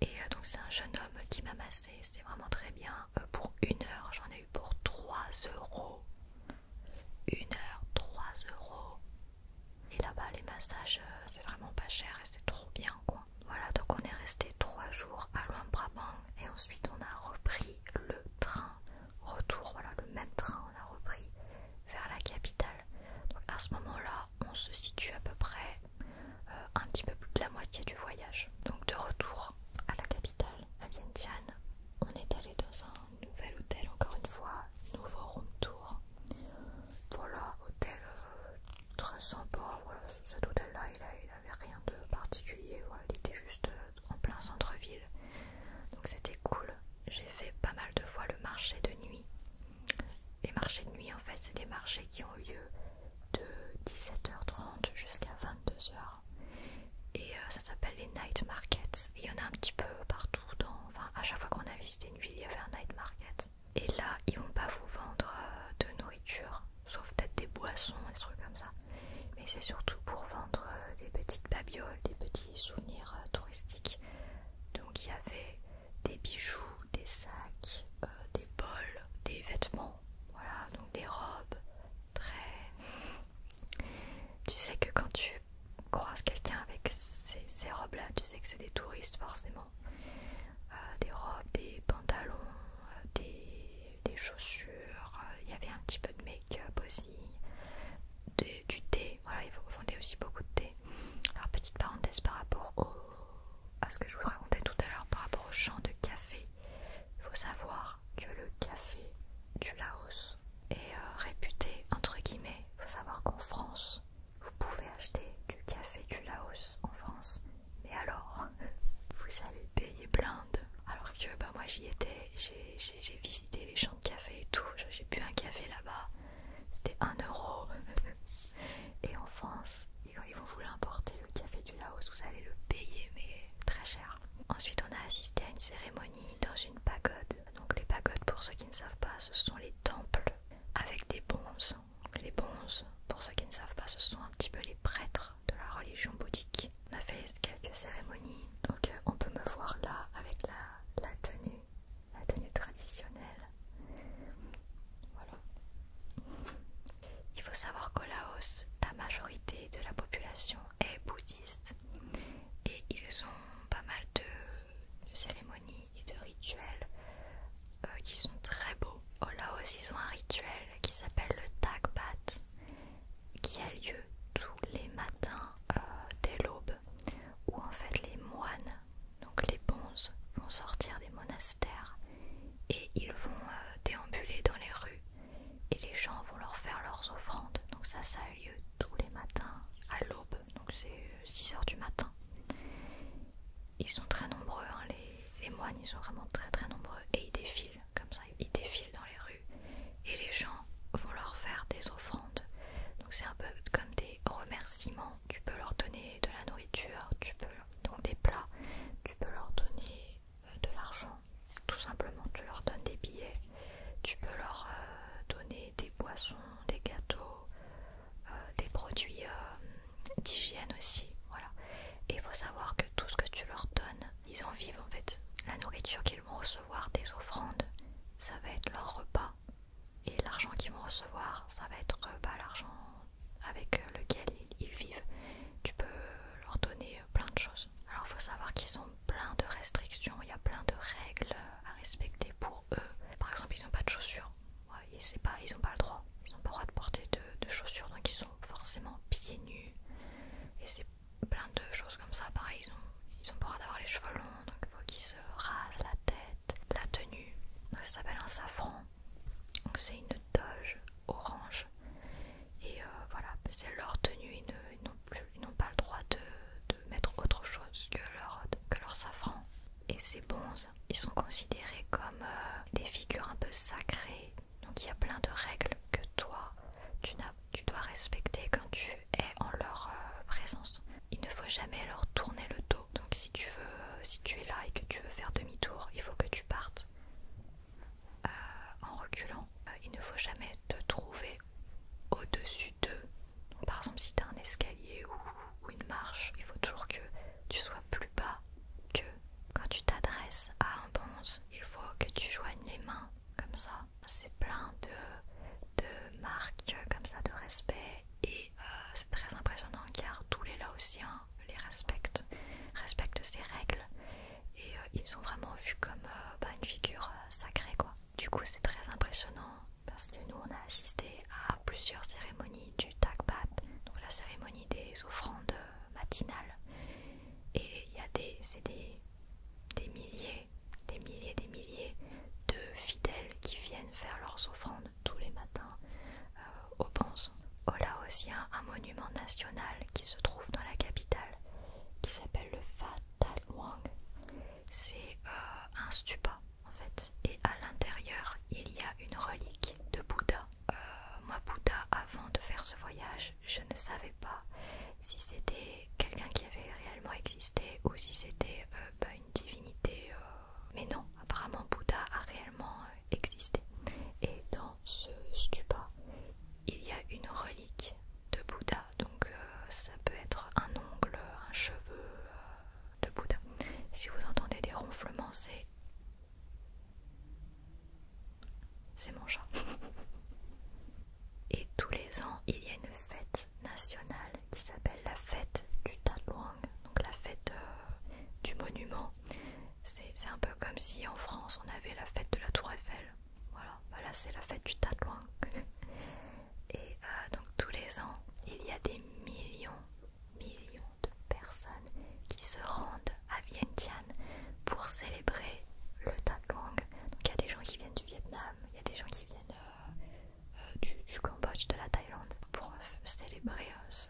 Et euh, donc c'est un jeune homme qui m'a massé, c'était vraiment très bien. Euh, pour une heure, j'en ai eu pour 3 euros. Une heure, 3 euros. Et là-bas, les massages, euh, c'est vraiment pas cher et c'est trop bien quoi. Voilà, donc on est resté trois jours à Luang Prabang et ensuite on a repris le train retour. Voilà, le même train, on a repris vers la capitale. Donc à ce moment-là, on se situe à peu près euh, un petit peu plus de la moitié du voyage. Donc de retour à la capitale, à Vientiane, on est allé dans un nouvel hôtel encore une fois, nouveau room tour. Voilà, hôtel euh, très sympa. Voilà, cet hôtel là, il, n'avait rien de particulier. il était juste euh, en plein centre-ville, donc c'était cool. J'ai fait pas mal de fois le marché de nuit. Les marchés de nuit, en fait, c'est des marchés qui ont lieu de 17h30 jusqu'à 22h. Et euh, ça s'appelle les night markets. Et il y en a un petit peu partout, dans, enfin à chaque fois qu'on a visité il y avait un night market. Et là, ils vont pas vous vendre euh, de nourriture, sauf peut-être des boissons, des trucs comme ça. Mais c'est surtout pour vendre euh, des petites babioles, des petits souvenirs euh, touristiques. Donc il y avait des bijoux, des sacs, des bols, des vêtements, voilà, donc des robes très... Tu sais que quand tu croise quelqu'un avec ces, robes-là, tu sais que c'est des touristes forcément. Euh, des robes, des pantalons, euh, des, des chaussures, euh, il y avait un petit peu de make-up aussi, du thé, voilà, faut vendaient aussi beaucoup de thé. Alors petite parenthèse par rapport à ce que je vous racontais tout à l'heure par rapport au champ de café, il faut savoir que le café du Laos est réputé, entre guillemets, il faut savoir qu'en France, vous pouvez acheter du café du Laos en France, mais alors vous allez payer blinde. Alors que bah, moi j'y étais, j'ai visité les champs de café et tout, j'ai bu un café là-bas, c'était 1 euro. Et en France, quand ils vont vous l'importer, le café du Laos, vous allez le payer, mais très cher. Ensuite, on a assisté à une cérémonie dans une pagode donc les pagodes, pour ceux qui ne savent pas, ce sont les temples avec des bonzes. les bonzes, pour ceux qui ne savent pas, ce sont un petit peu les prêtres de la religion bouddhique. On a fait quelques cérémonies, donc euh, on peut me voir là avec la, tenue, la tenue traditionnelle. Voilà. Il faut savoir qu'au Laos, la majorité de la population est bouddhiste et ils ont pas mal de cérémonies et de rituels euh, qui sont très beaux. Là aussi ils ont un rituel qui s'appelle le Tagbat qui a lieu tous les matins euh, dès l'aube où en fait les moines, donc les bonzes, vont sortir des monastères et ils vont euh, déambuler dans les rues et les gens vont leur faire leurs offrandes. Donc ça, ça a lieu tous les matins à l'aube. 6h du matin. Ils sont très nombreux, hein, les, moines, ils sont vraiment très très nombreux et ils défilent comme ça, ils défilent dans les rues et les gens vont leur faire des offrandes. Donc c'est un peu comme des remerciements. Tu peux leur donner de la nourriture, tu peux donner des plats, tu peux leur donner euh, de l'argent, tout simplement. Tu leur donnes des billets, tu peux leur euh, donner des boissons, des gâteaux, euh, des produits euh, d'hygiène aussi. Voilà. Et il faut savoir que tout ce que tu leur donnes, ils en vivent en fait. La nourriture qu'ils vont recevoir des offrandes, ça va être leur repas. Et l'argent qu'ils vont recevoir, ça va être euh, bah, l'argent avec lequel ils, ils vivent. Tu peux leur donner plein de choses. Alors il faut savoir qu'ils ont plein de restrictions, il y a plein de règles à respecter pour par exemple, ils n'ont pas de chaussures. pas, ils n'ont pas le droit. Ils n'ont pas le droit de porter de, chaussures, donc ils sont forcément pieds nus. Et c'est plein de choses comme ça. Pareil, ils ont, ils pas le droit d'avoir les cheveux longs, donc il faut qu'ils se rasent la tête, la tenue. ça s'appelle un safran. Donc c'est une doge orange. Et euh, voilà, c'est leur tenue, ils n'ont pas le droit de mettre autre chose que leur, que leur safran. Et ces bonzes, ils sont considérés comme euh, des figures un peu sacrées. Donc il y a plein de règles que toi, tu, tu dois respecter quand tu es en leur euh, présence. Il ne faut jamais leur tourner le dos. Donc si tu veux, si tu es là et que tu veux faire demi-tour, il faut que tu partes euh, en reculant. il ne faut jamais te trouver au-dessus par exemple, si tu as un escalier ou, une marche, il faut toujours que tu sois plus bas que quand tu t'adresses à un bonze, il faut que tu joignes les mains comme ça. C'est plein de, marques comme ça de respect et euh, c'est très impressionnant car tous les Laotiens hein, les respectent, respectent ces règles et euh, ils sont vraiment vus comme euh, bah, une figure sacrée quoi. Du coup, c'est très impressionnant parce que nous, on a assisté à plusieurs cérémonies du Takbat, donc la cérémonie des offrandes matinales. Et il y a des, milliers, des milliers, des milliers de fidèles qui viennent faire leurs offrandes tous les matins euh, au Bonze. au oh Là aussi un, monument national qui se trouve dans la capitale, qui s'appelle le Fat C'est euh, un stupa, et à l'intérieur, il y a une relique de Bouddha. Euh, moi, Bouddha, avant de faire ce voyage, je ne savais pas si c'était quelqu'un qui avait réellement existé ou si c'était euh, bah, une divinité. Euh, mais non, apparemment, Bouddha a réellement existé. Et dans ce stupa, il y a une relique de Bouddha. Donc, ça peut être un ongle, un cheveu de Bouddha. Si vous entendez des ronflements, c'est. C'est mon chat. Et tous les ans, il y a une fête nationale qui s'appelle la fête du Tatluang, donc la fête euh, du monument. C'est un peu comme si en France on avait la fête de la Tour Eiffel. Voilà, voilà c'est la fête du Tatluang. Et euh, donc tous les ans, il y a des millions, millions de personnes qui se rendent à Vientiane pour célébrer le Tat Long. Donc il y a des gens qui viennent du Vietnam, il y a des gens qui viennent euh, euh, du, Cambodge, de la Thaïlande, pour célébrer ce,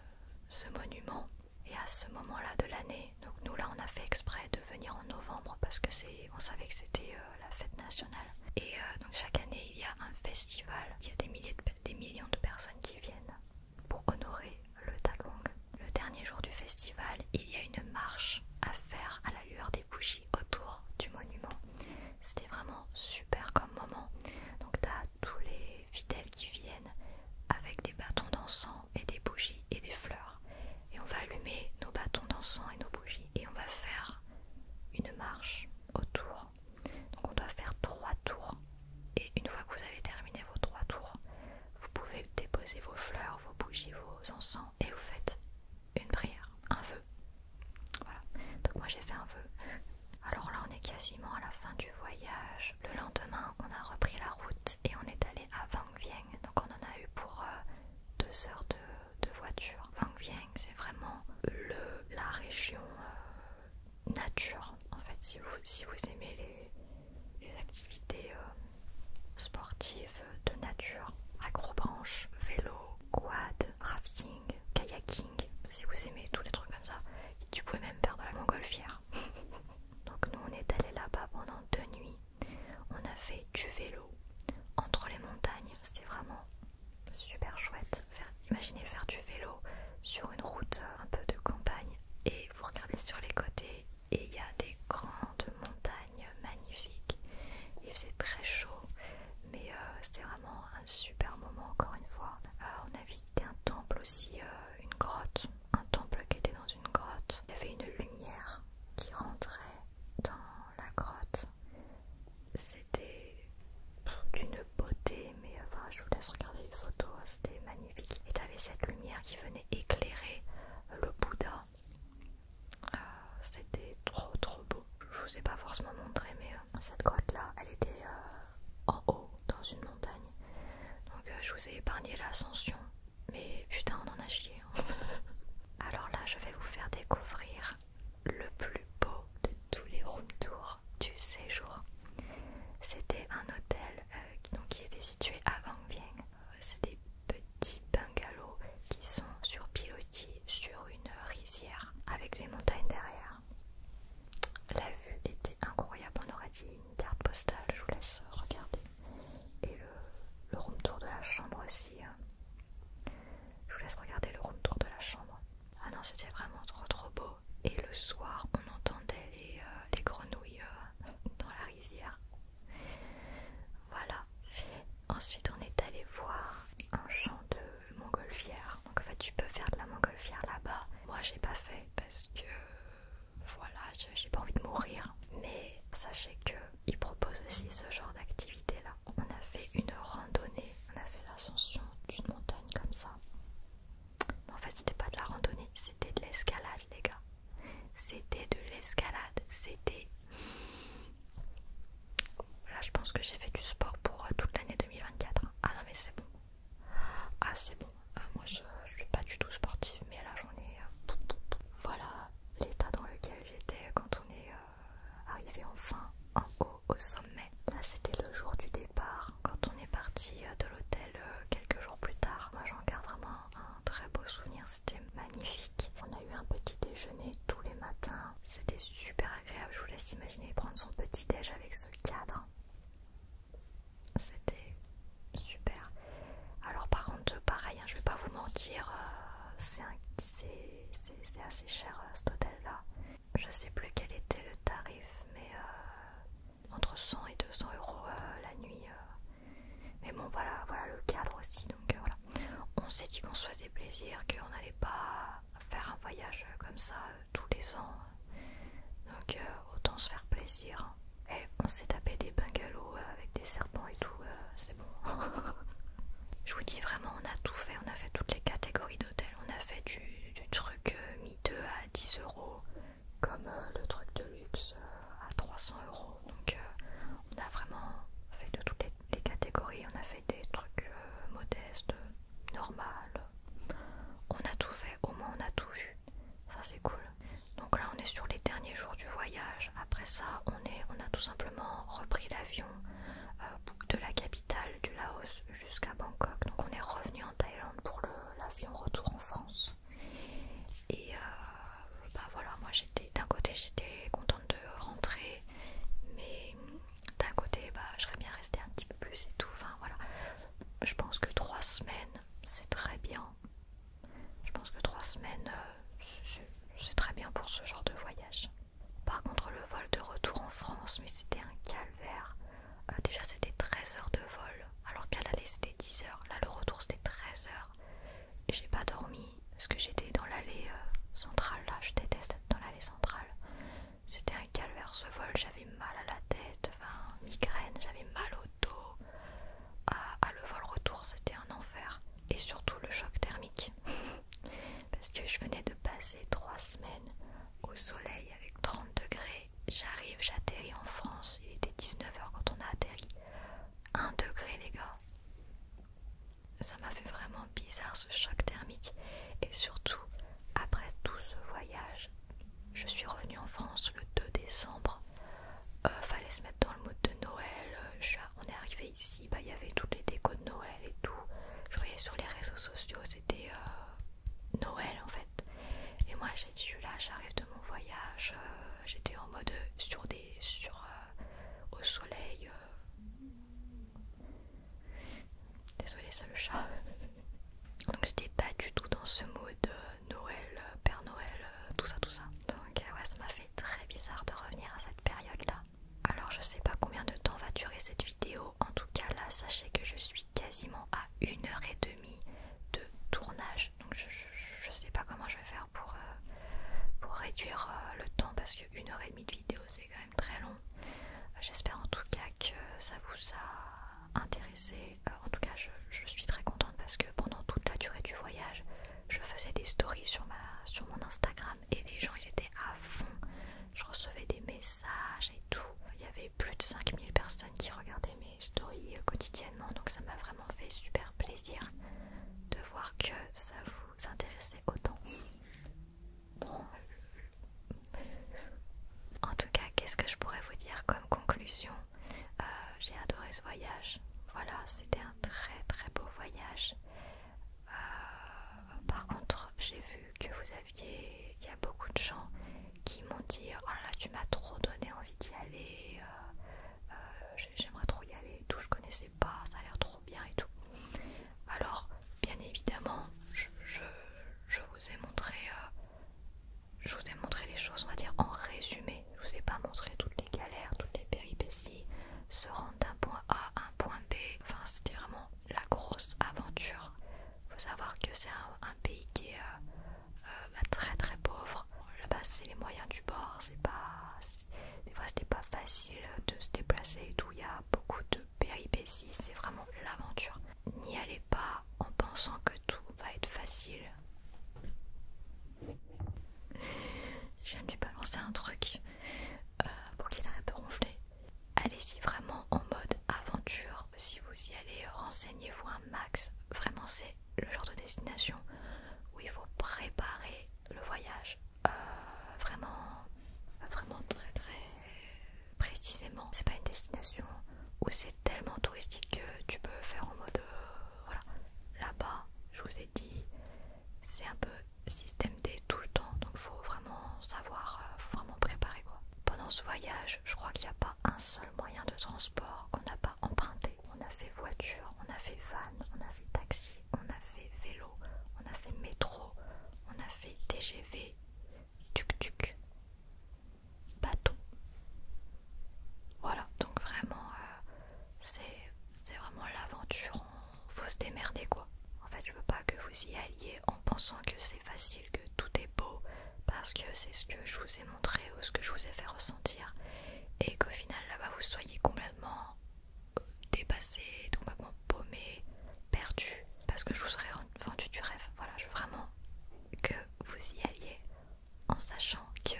monument. Et à ce moment-là de l'année, donc nous là on a fait exprès de venir en novembre parce que c'est, on savait que c'était euh, la fête nationale. Et euh, donc chaque année, il y a un festival. Il y a des, millions de personnes qui viennent pour honorer le Talong. Le dernier jour du festival, il y a une marche à faire à la lueur des bougies autour du monument. C'était vraiment super comme moment. Donc tu as tous les fidèles qui viennent avec des bâtons d'encens et des bougies et des fleurs. Et on va allumer nos bâtons d'encens et nos bougies et on va faire une marche autour donc on doit faire trois tours. Et une fois que vous avez terminé vos trois tours, vous pouvez déposer vos fleurs, vos bougies, vos encens et vous faites une prière, un vœu. Voilà. Donc moi j'ai fait un vœu. Alors là on est quasiment à la fin du voyage. Le lendemain on a repris la route et on est allé à Vang Vieng. Donc on en a eu pour euh, deux heures de de voitures. Vang Vieng, c'est vraiment le, la région euh, nature. En fait, si vous, aimez les, les activités euh, sportives de nature, acrobranche, vélo, quad, rafting, kayaking, si vous aimez tous les trucs comme ça, tu pouvais même faire de la montgolfière. Donc nous on est allé là-bas pendant deux nuits. On a fait du vélo entre les montagnes. C'était vraiment super chouette. imaginez faire du vélo sur une route euh, un peu de campagne et vous regardez sur les côtés et il y a des grandes montagnes magnifiques. Il faisait très chaud, mais euh, c'était vraiment un super moment encore une fois. Euh, on a visité un temple aussi, une grotte, un temple qui était dans une grotte. Il y avait une lumière qui rentrait dans la grotte. C'était d'une beauté, mais enfin je vous laisse regarder les photos, hein, c'était magnifique. Et t'avais cette lumière qui venait éclairer le Bouddha. Euh, c'était trop trop beau. Je vous ai pas forcément montré, mais euh, cette grotte là, elle était euh, en haut, dans une montagne. Donc je vous ai épargné l'ascension, mais putain on en a chié. Hein. Alors là, je vais vous faire découvrir le plus beau de tous les room tours du séjour. C'était un hôtel euh, qui était situé à Vang Bien. Euh, c'est des petits bungalows qui sont sur pilotis sur une rizière avec des montagnes derrière. La vue était incroyable, on aurait dit une carte postale, je vous laisse regarder. Et le, le room tour de la chambre aussi. Hein. Je vous laisse regarder le room tour de la chambre. Ah non, c'était vraiment trop trop beau. Et le soir, on entendait les, euh, grenouilles euh, dans la rizière. Voilà. Ensuite, on est allé voir un champ de montgolfière. Donc en fait, tu peux faire de la montgolfière là-bas. Moi, j'ai pas fait parce que voilà, j'ai pas envie de mourir. Mais sachez que ils proposent aussi ce genre d'activité là. On a fait une randonnée on a fait l'ascension d'une montagne comme ça. Mais en fait, c'était pas de la randonnée, c'était de l'escalade, les gars. C'était de l'escalade, c'était. Là, je pense que j'ai fait du sport pour euh, toute l'année 2024. Hein. Ah non, mais c'est bon. Ah, c'est bon. Euh, moi, je, suis pas du tout sportive, mais là, j'en ai. Euh, voilà l'état dans lequel j'étais quand on est arriver enfin en haut au sommet. Là c'était le jour du départ quand on est parti euh, de l'hôtel euh, quelques jours plus tard. Moi j'en garde vraiment un très beau souvenir, c'était magnifique. On a eu un petit déjeuner tous les matins, c'était super agréable. Je vous laisse imaginer prendre son petit déj avec ce cadre. C'était super. Alors par contre pareil, hein, je vais pas vous mentir, euh, c'est assez cher cet hôtel là. Je sais plus quel était le tarif, mais euh, entre 100 et 200 euros euh, la nuit. Euh. Mais bon, voilà, voilà le cadre aussi. Donc voilà, on s'est dit qu'on se faisait plaisir, qu'on n'allait pas faire un voyage comme ça tous les ans. Donc autant se faire plaisir. Et on s'est tapé des bungalows avec des serpents et tout, c'est bon. Je vous dis vraiment, on a tout fait, on a fait toutes les catégories d'hôtels on a fait du, truc euh, mi-2 à 10 euros, comme euh, le truc de luxe euh, à 300 euros. Donc, on a vraiment fait de toutes les, catégories. On a fait des trucs modestes, normales On a tout fait, au moins on a tout vu. Ça, c'est cool. Donc, là, on est sur les derniers jours du voyage. Après ça, on, est, on a tout simplement repris l'avion de la cabine du Laos jusqu'à Bangkok. Donc on est revenu en Thaïlande pour l'avion retour en France. Et euh, bah voilà, moi j'étais d'un côté j'étais contente de rentrer, mais d'un côté bah j'aurais bien resté un petit peu plus et tout. Enfin voilà, je pense que trois semaines c'est très bien. Je pense que trois semaines euh, c'est très bien pour ce genre de voyage. Par contre, le vol de retour en France, mais c'était un calvaire. Euh, déjà, c'était 13 heures de vol, alors qu'à l'aller, c'était 10 heures. Là, le retour, c'était 13 heures. J'ai pas dormi parce que j'étais dans l'allée euh, centrale. Là, je déteste être dans l'allée centrale. C'était un calvaire ce vol. J'avais mal à la tête, enfin, migraine, j'avais mal au dos. Euh, le vol retour, c'était un enfer. Et surtout, le choc thermique. parce que je venais de passer 3 semaines au soleil avec 30 degrés. J'arrive, j'atterris en France. Il était 19h quand on a atterri. 1 degré, les gars. Ça m'a fait vraiment bizarre ce choc thermique. Et surtout, après tout ce voyage, je suis revenue en France le 2 décembre. Euh, fallait se mettre dans le mood de Noël. Euh, on est arrivé ici bah, il y avait toutes les décos de Noël et tout. Je voyais sur les réseaux sociaux, c'était euh, Noël en fait. Et moi j'ai dit, je là, j'arrive de mon voyage, euh, j'étais en mode euh, sur des. sur. au soleil. désolé Désolée, le chat. Donc j'étais pas du tout dans ce mode Noël, Père Noël, tout ça, tout ça. Donc ouais, ça m'a fait très bizarre de revenir à cette période là. Alors je sais pas combien de temps va durer cette vidéo. En tout cas là sachez que je suis quasiment à une heure et demie de tournage. Donc je, ne sais pas comment je vais faire pour, euh, réduire euh, le temps parce que heure et demie de vidéo c'est quand même très long. J'espère en tout cas que ça vous a intéressé. Euh, en tout cas je, suis très contente parce que pendant toute la durée du voyage je faisais des stories sur mon Instagram et les gens ils étaient à fond. Je recevais des messages et tout. Il y avait plus de 5000 personnes qui regardaient mes stories euh, quotidiennement. Donc ça m'a vraiment fait super plaisir de voir que ça vous intéressait autant. Bon. En tout cas, qu'est-ce que je pourrais vous dire comme conclusion euh, J'ai adoré ce voyage. Voilà, c'était un très très beau voyage. Euh, par contre, j'ai vu que vous aviez. Il y a beaucoup de gens qui m'ont dit oh là tu m'as trop donné envie d'y aller, euh, euh, j'aimerais trop y aller tout, je connaissais pas, ça a l'air trop bien et tout. Alors, bien évidemment, je, je, vous ai montré. je vous ai montré les choses, on va dire en résumé. Je vous ai pas montré toutes les galères, toutes les péripéties, se rendre d'un point A à un point B. Enfin, c'était vraiment la grosse aventure. Faut savoir que c'est un, pays qui est euh, euh, bah, très très pauvre. Là-bas, c'est les moyens du bord. C'est pas, des fois, c'était pas facile de se déplacer et tout. Il y a beaucoup de péripéties. C'est vraiment l'aventure. N'y allez pas en pensant que tout va être facile. J'aime lui balancer un truc euh, pour qu'il un peu ronflé. Allez-y vraiment en mode aventure. Si vous y allez, renseignez-vous un max. Vraiment, c'est le genre de destination où il faut préparer le voyage euh, vraiment, vraiment très très précisément. C'est pas une destination où c'est tellement touristique que tu peux faire en mode euh, voilà. Là-bas, je vous ai dit, c'est un peu euh, système D tout le temps, donc faut vraiment savoir, euh, vraiment préparer quoi. Pendant ce voyage, je crois qu'il n'y a pas un seul moyen de transport qu'on n'a pas emprunté. On a fait voiture, on a fait van, on a fait taxi, on a fait vélo, on a fait métro, on a fait TGV, tuc-tuc, bateau. Voilà, donc vraiment, euh, c'est vraiment l'aventure faut se démerder quoi. En fait, je veux pas que vous y alliez en pensant que c'est facile, que tout est beau, parce que c'est ce que je vous ai montré ou ce que je vous ai fait ressentir, et qu'au final là-bas vous soyez complètement euh, dépassé, complètement paumé, perdu, parce que je vous serais vendu du rêve. Voilà, je veux vraiment que vous y alliez en sachant que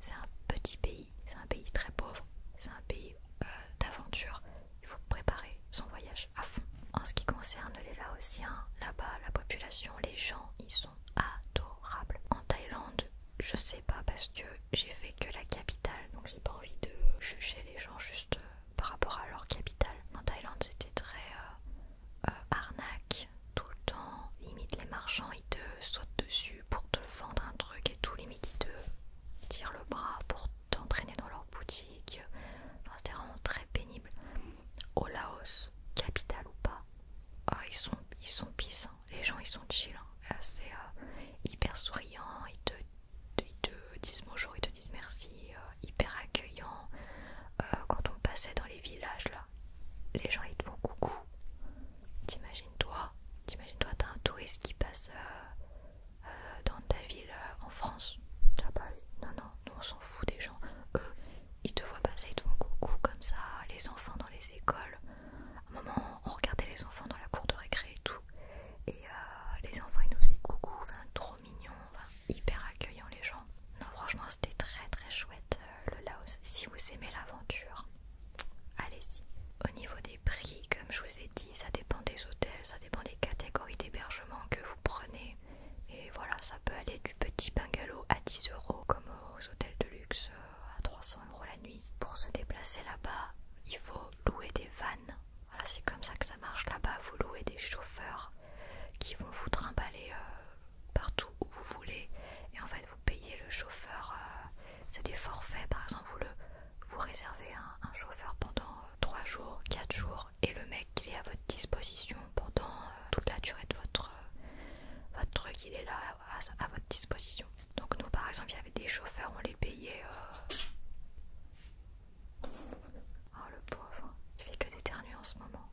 c'est un petit pays, c'est un pays très pauvre, c'est un pays euh, d'aventure, il faut préparer son voyage à fond. En ce qui concerne les Laotiens, là-bas, la population, les gens, ils sont adorables. En Thaïlande, je sais pas parce que j'ai fait que la capitale, donc j'ai pas envie de juger les gens juste euh, par rapport à leur capitale. En Thaïlande, c'était très euh, euh, arnaque tout le temps. Limite, les marchands ils te sautent dessus pour te vendre un truc et tout. Limite, ils te tirent le bras pour t'entraîner dans leur boutique. C'était vraiment très pénible. Au Laos, capitale ou pas, ah, ils sont ils sont peace, hein. Les gens ils sont chill. C'est hein. euh, hyper souriant. Ils te, disent bonjour, ils te disent merci. Euh, hyper accueillant. Euh, quand on passait dans les villages là, les gens ils te font coucou. T'imagines toi T'imagines toi t'as un touriste qui passe euh, dans ta ville euh, en France. non, non, on s'en fout des gens. Eux, ils te voient passer, ils te font coucou comme ça, les enfants dans les écoles. un moment, on regardait les enfants dans la cour de récré et tout. Et euh, les enfants, ils nous faisaient coucou, enfin, trop mignons, hyper accueillants les gens. Non, franchement, c'était très très chouette le Laos. Si vous aimez l'aventure, allez-y. Au niveau des prix, comme je vous ai dit, ça dépend des hôtels, ça dépend des catégories d'hébergement que vous prenez. Et voilà, ça peut aller du petit bungalow à 10 euros, comme aux hôtels de luxe euh, à 300 euros la nuit. Pour se déplacer là-bas, il faut louer des vannes. Voilà, c'est comme ça que ça marche là-bas. Vous louez des chauffeurs qui vont vous trimballer euh, partout où vous voulez. Et en fait, vous payez le chauffeur. Euh, c'est des forfaits, par exemple, vous le vous réservez un, chauffeur pendant 3 euh, jours, 4 jours et le mec il est à votre disposition pendant euh, toute la durée de votre, euh, votre truc, il est là à, votre disposition. Donc nous par exemple il y avait des chauffeurs, on les payait... Oh le pauvre, il fait que d'éternuer en ce moment.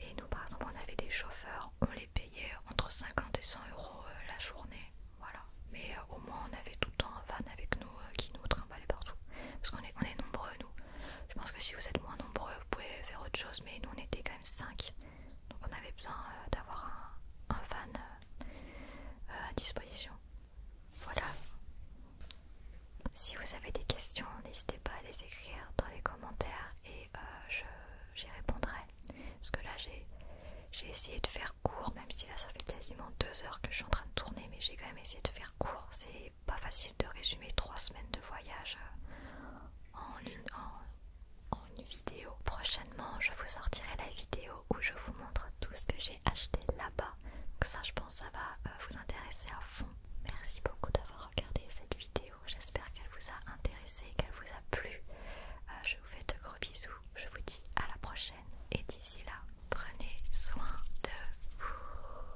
Et nous par exemple on avait des chauffeurs, on les payait entre 50 et 100 euros la journée. Voilà. Mais euh, au moins on avait tout le temps un van avec nous euh, qui nous trimballait partout. Parce qu'on est, est nombreux nous. Je pense que si vous êtes moins nombreux, vous pouvez faire autre chose. Mais nous on était quand même 5. Donc on avait besoin euh, d'avoir un, un van à disposition. Voilà. Si vous avez des questions, n'hésitez pas à les écrire dans les commentaires et j'y répondrai. Parce que là j'ai essayé de faire court, même si là ça fait quasiment deux heures que je suis en train de tourner, mais j'ai quand même essayé de faire court. C'est pas facile de résumer trois semaines de voyage euh, en une, une vidéo. Prochainement, je vous sortirai la vidéo où je vous montre tout ce que j'ai acheté là-bas. Ça, je pense, ça va euh, vous intéresser à fond. Merci beaucoup d'avoir regardé cette vidéo. J'espère qu'elle vous a intéressé, qu'elle vous a plu. Euh, je vous fais de gros bisous. Je vous dis à la prochaine. Et d'ici là, prenez soin de vous.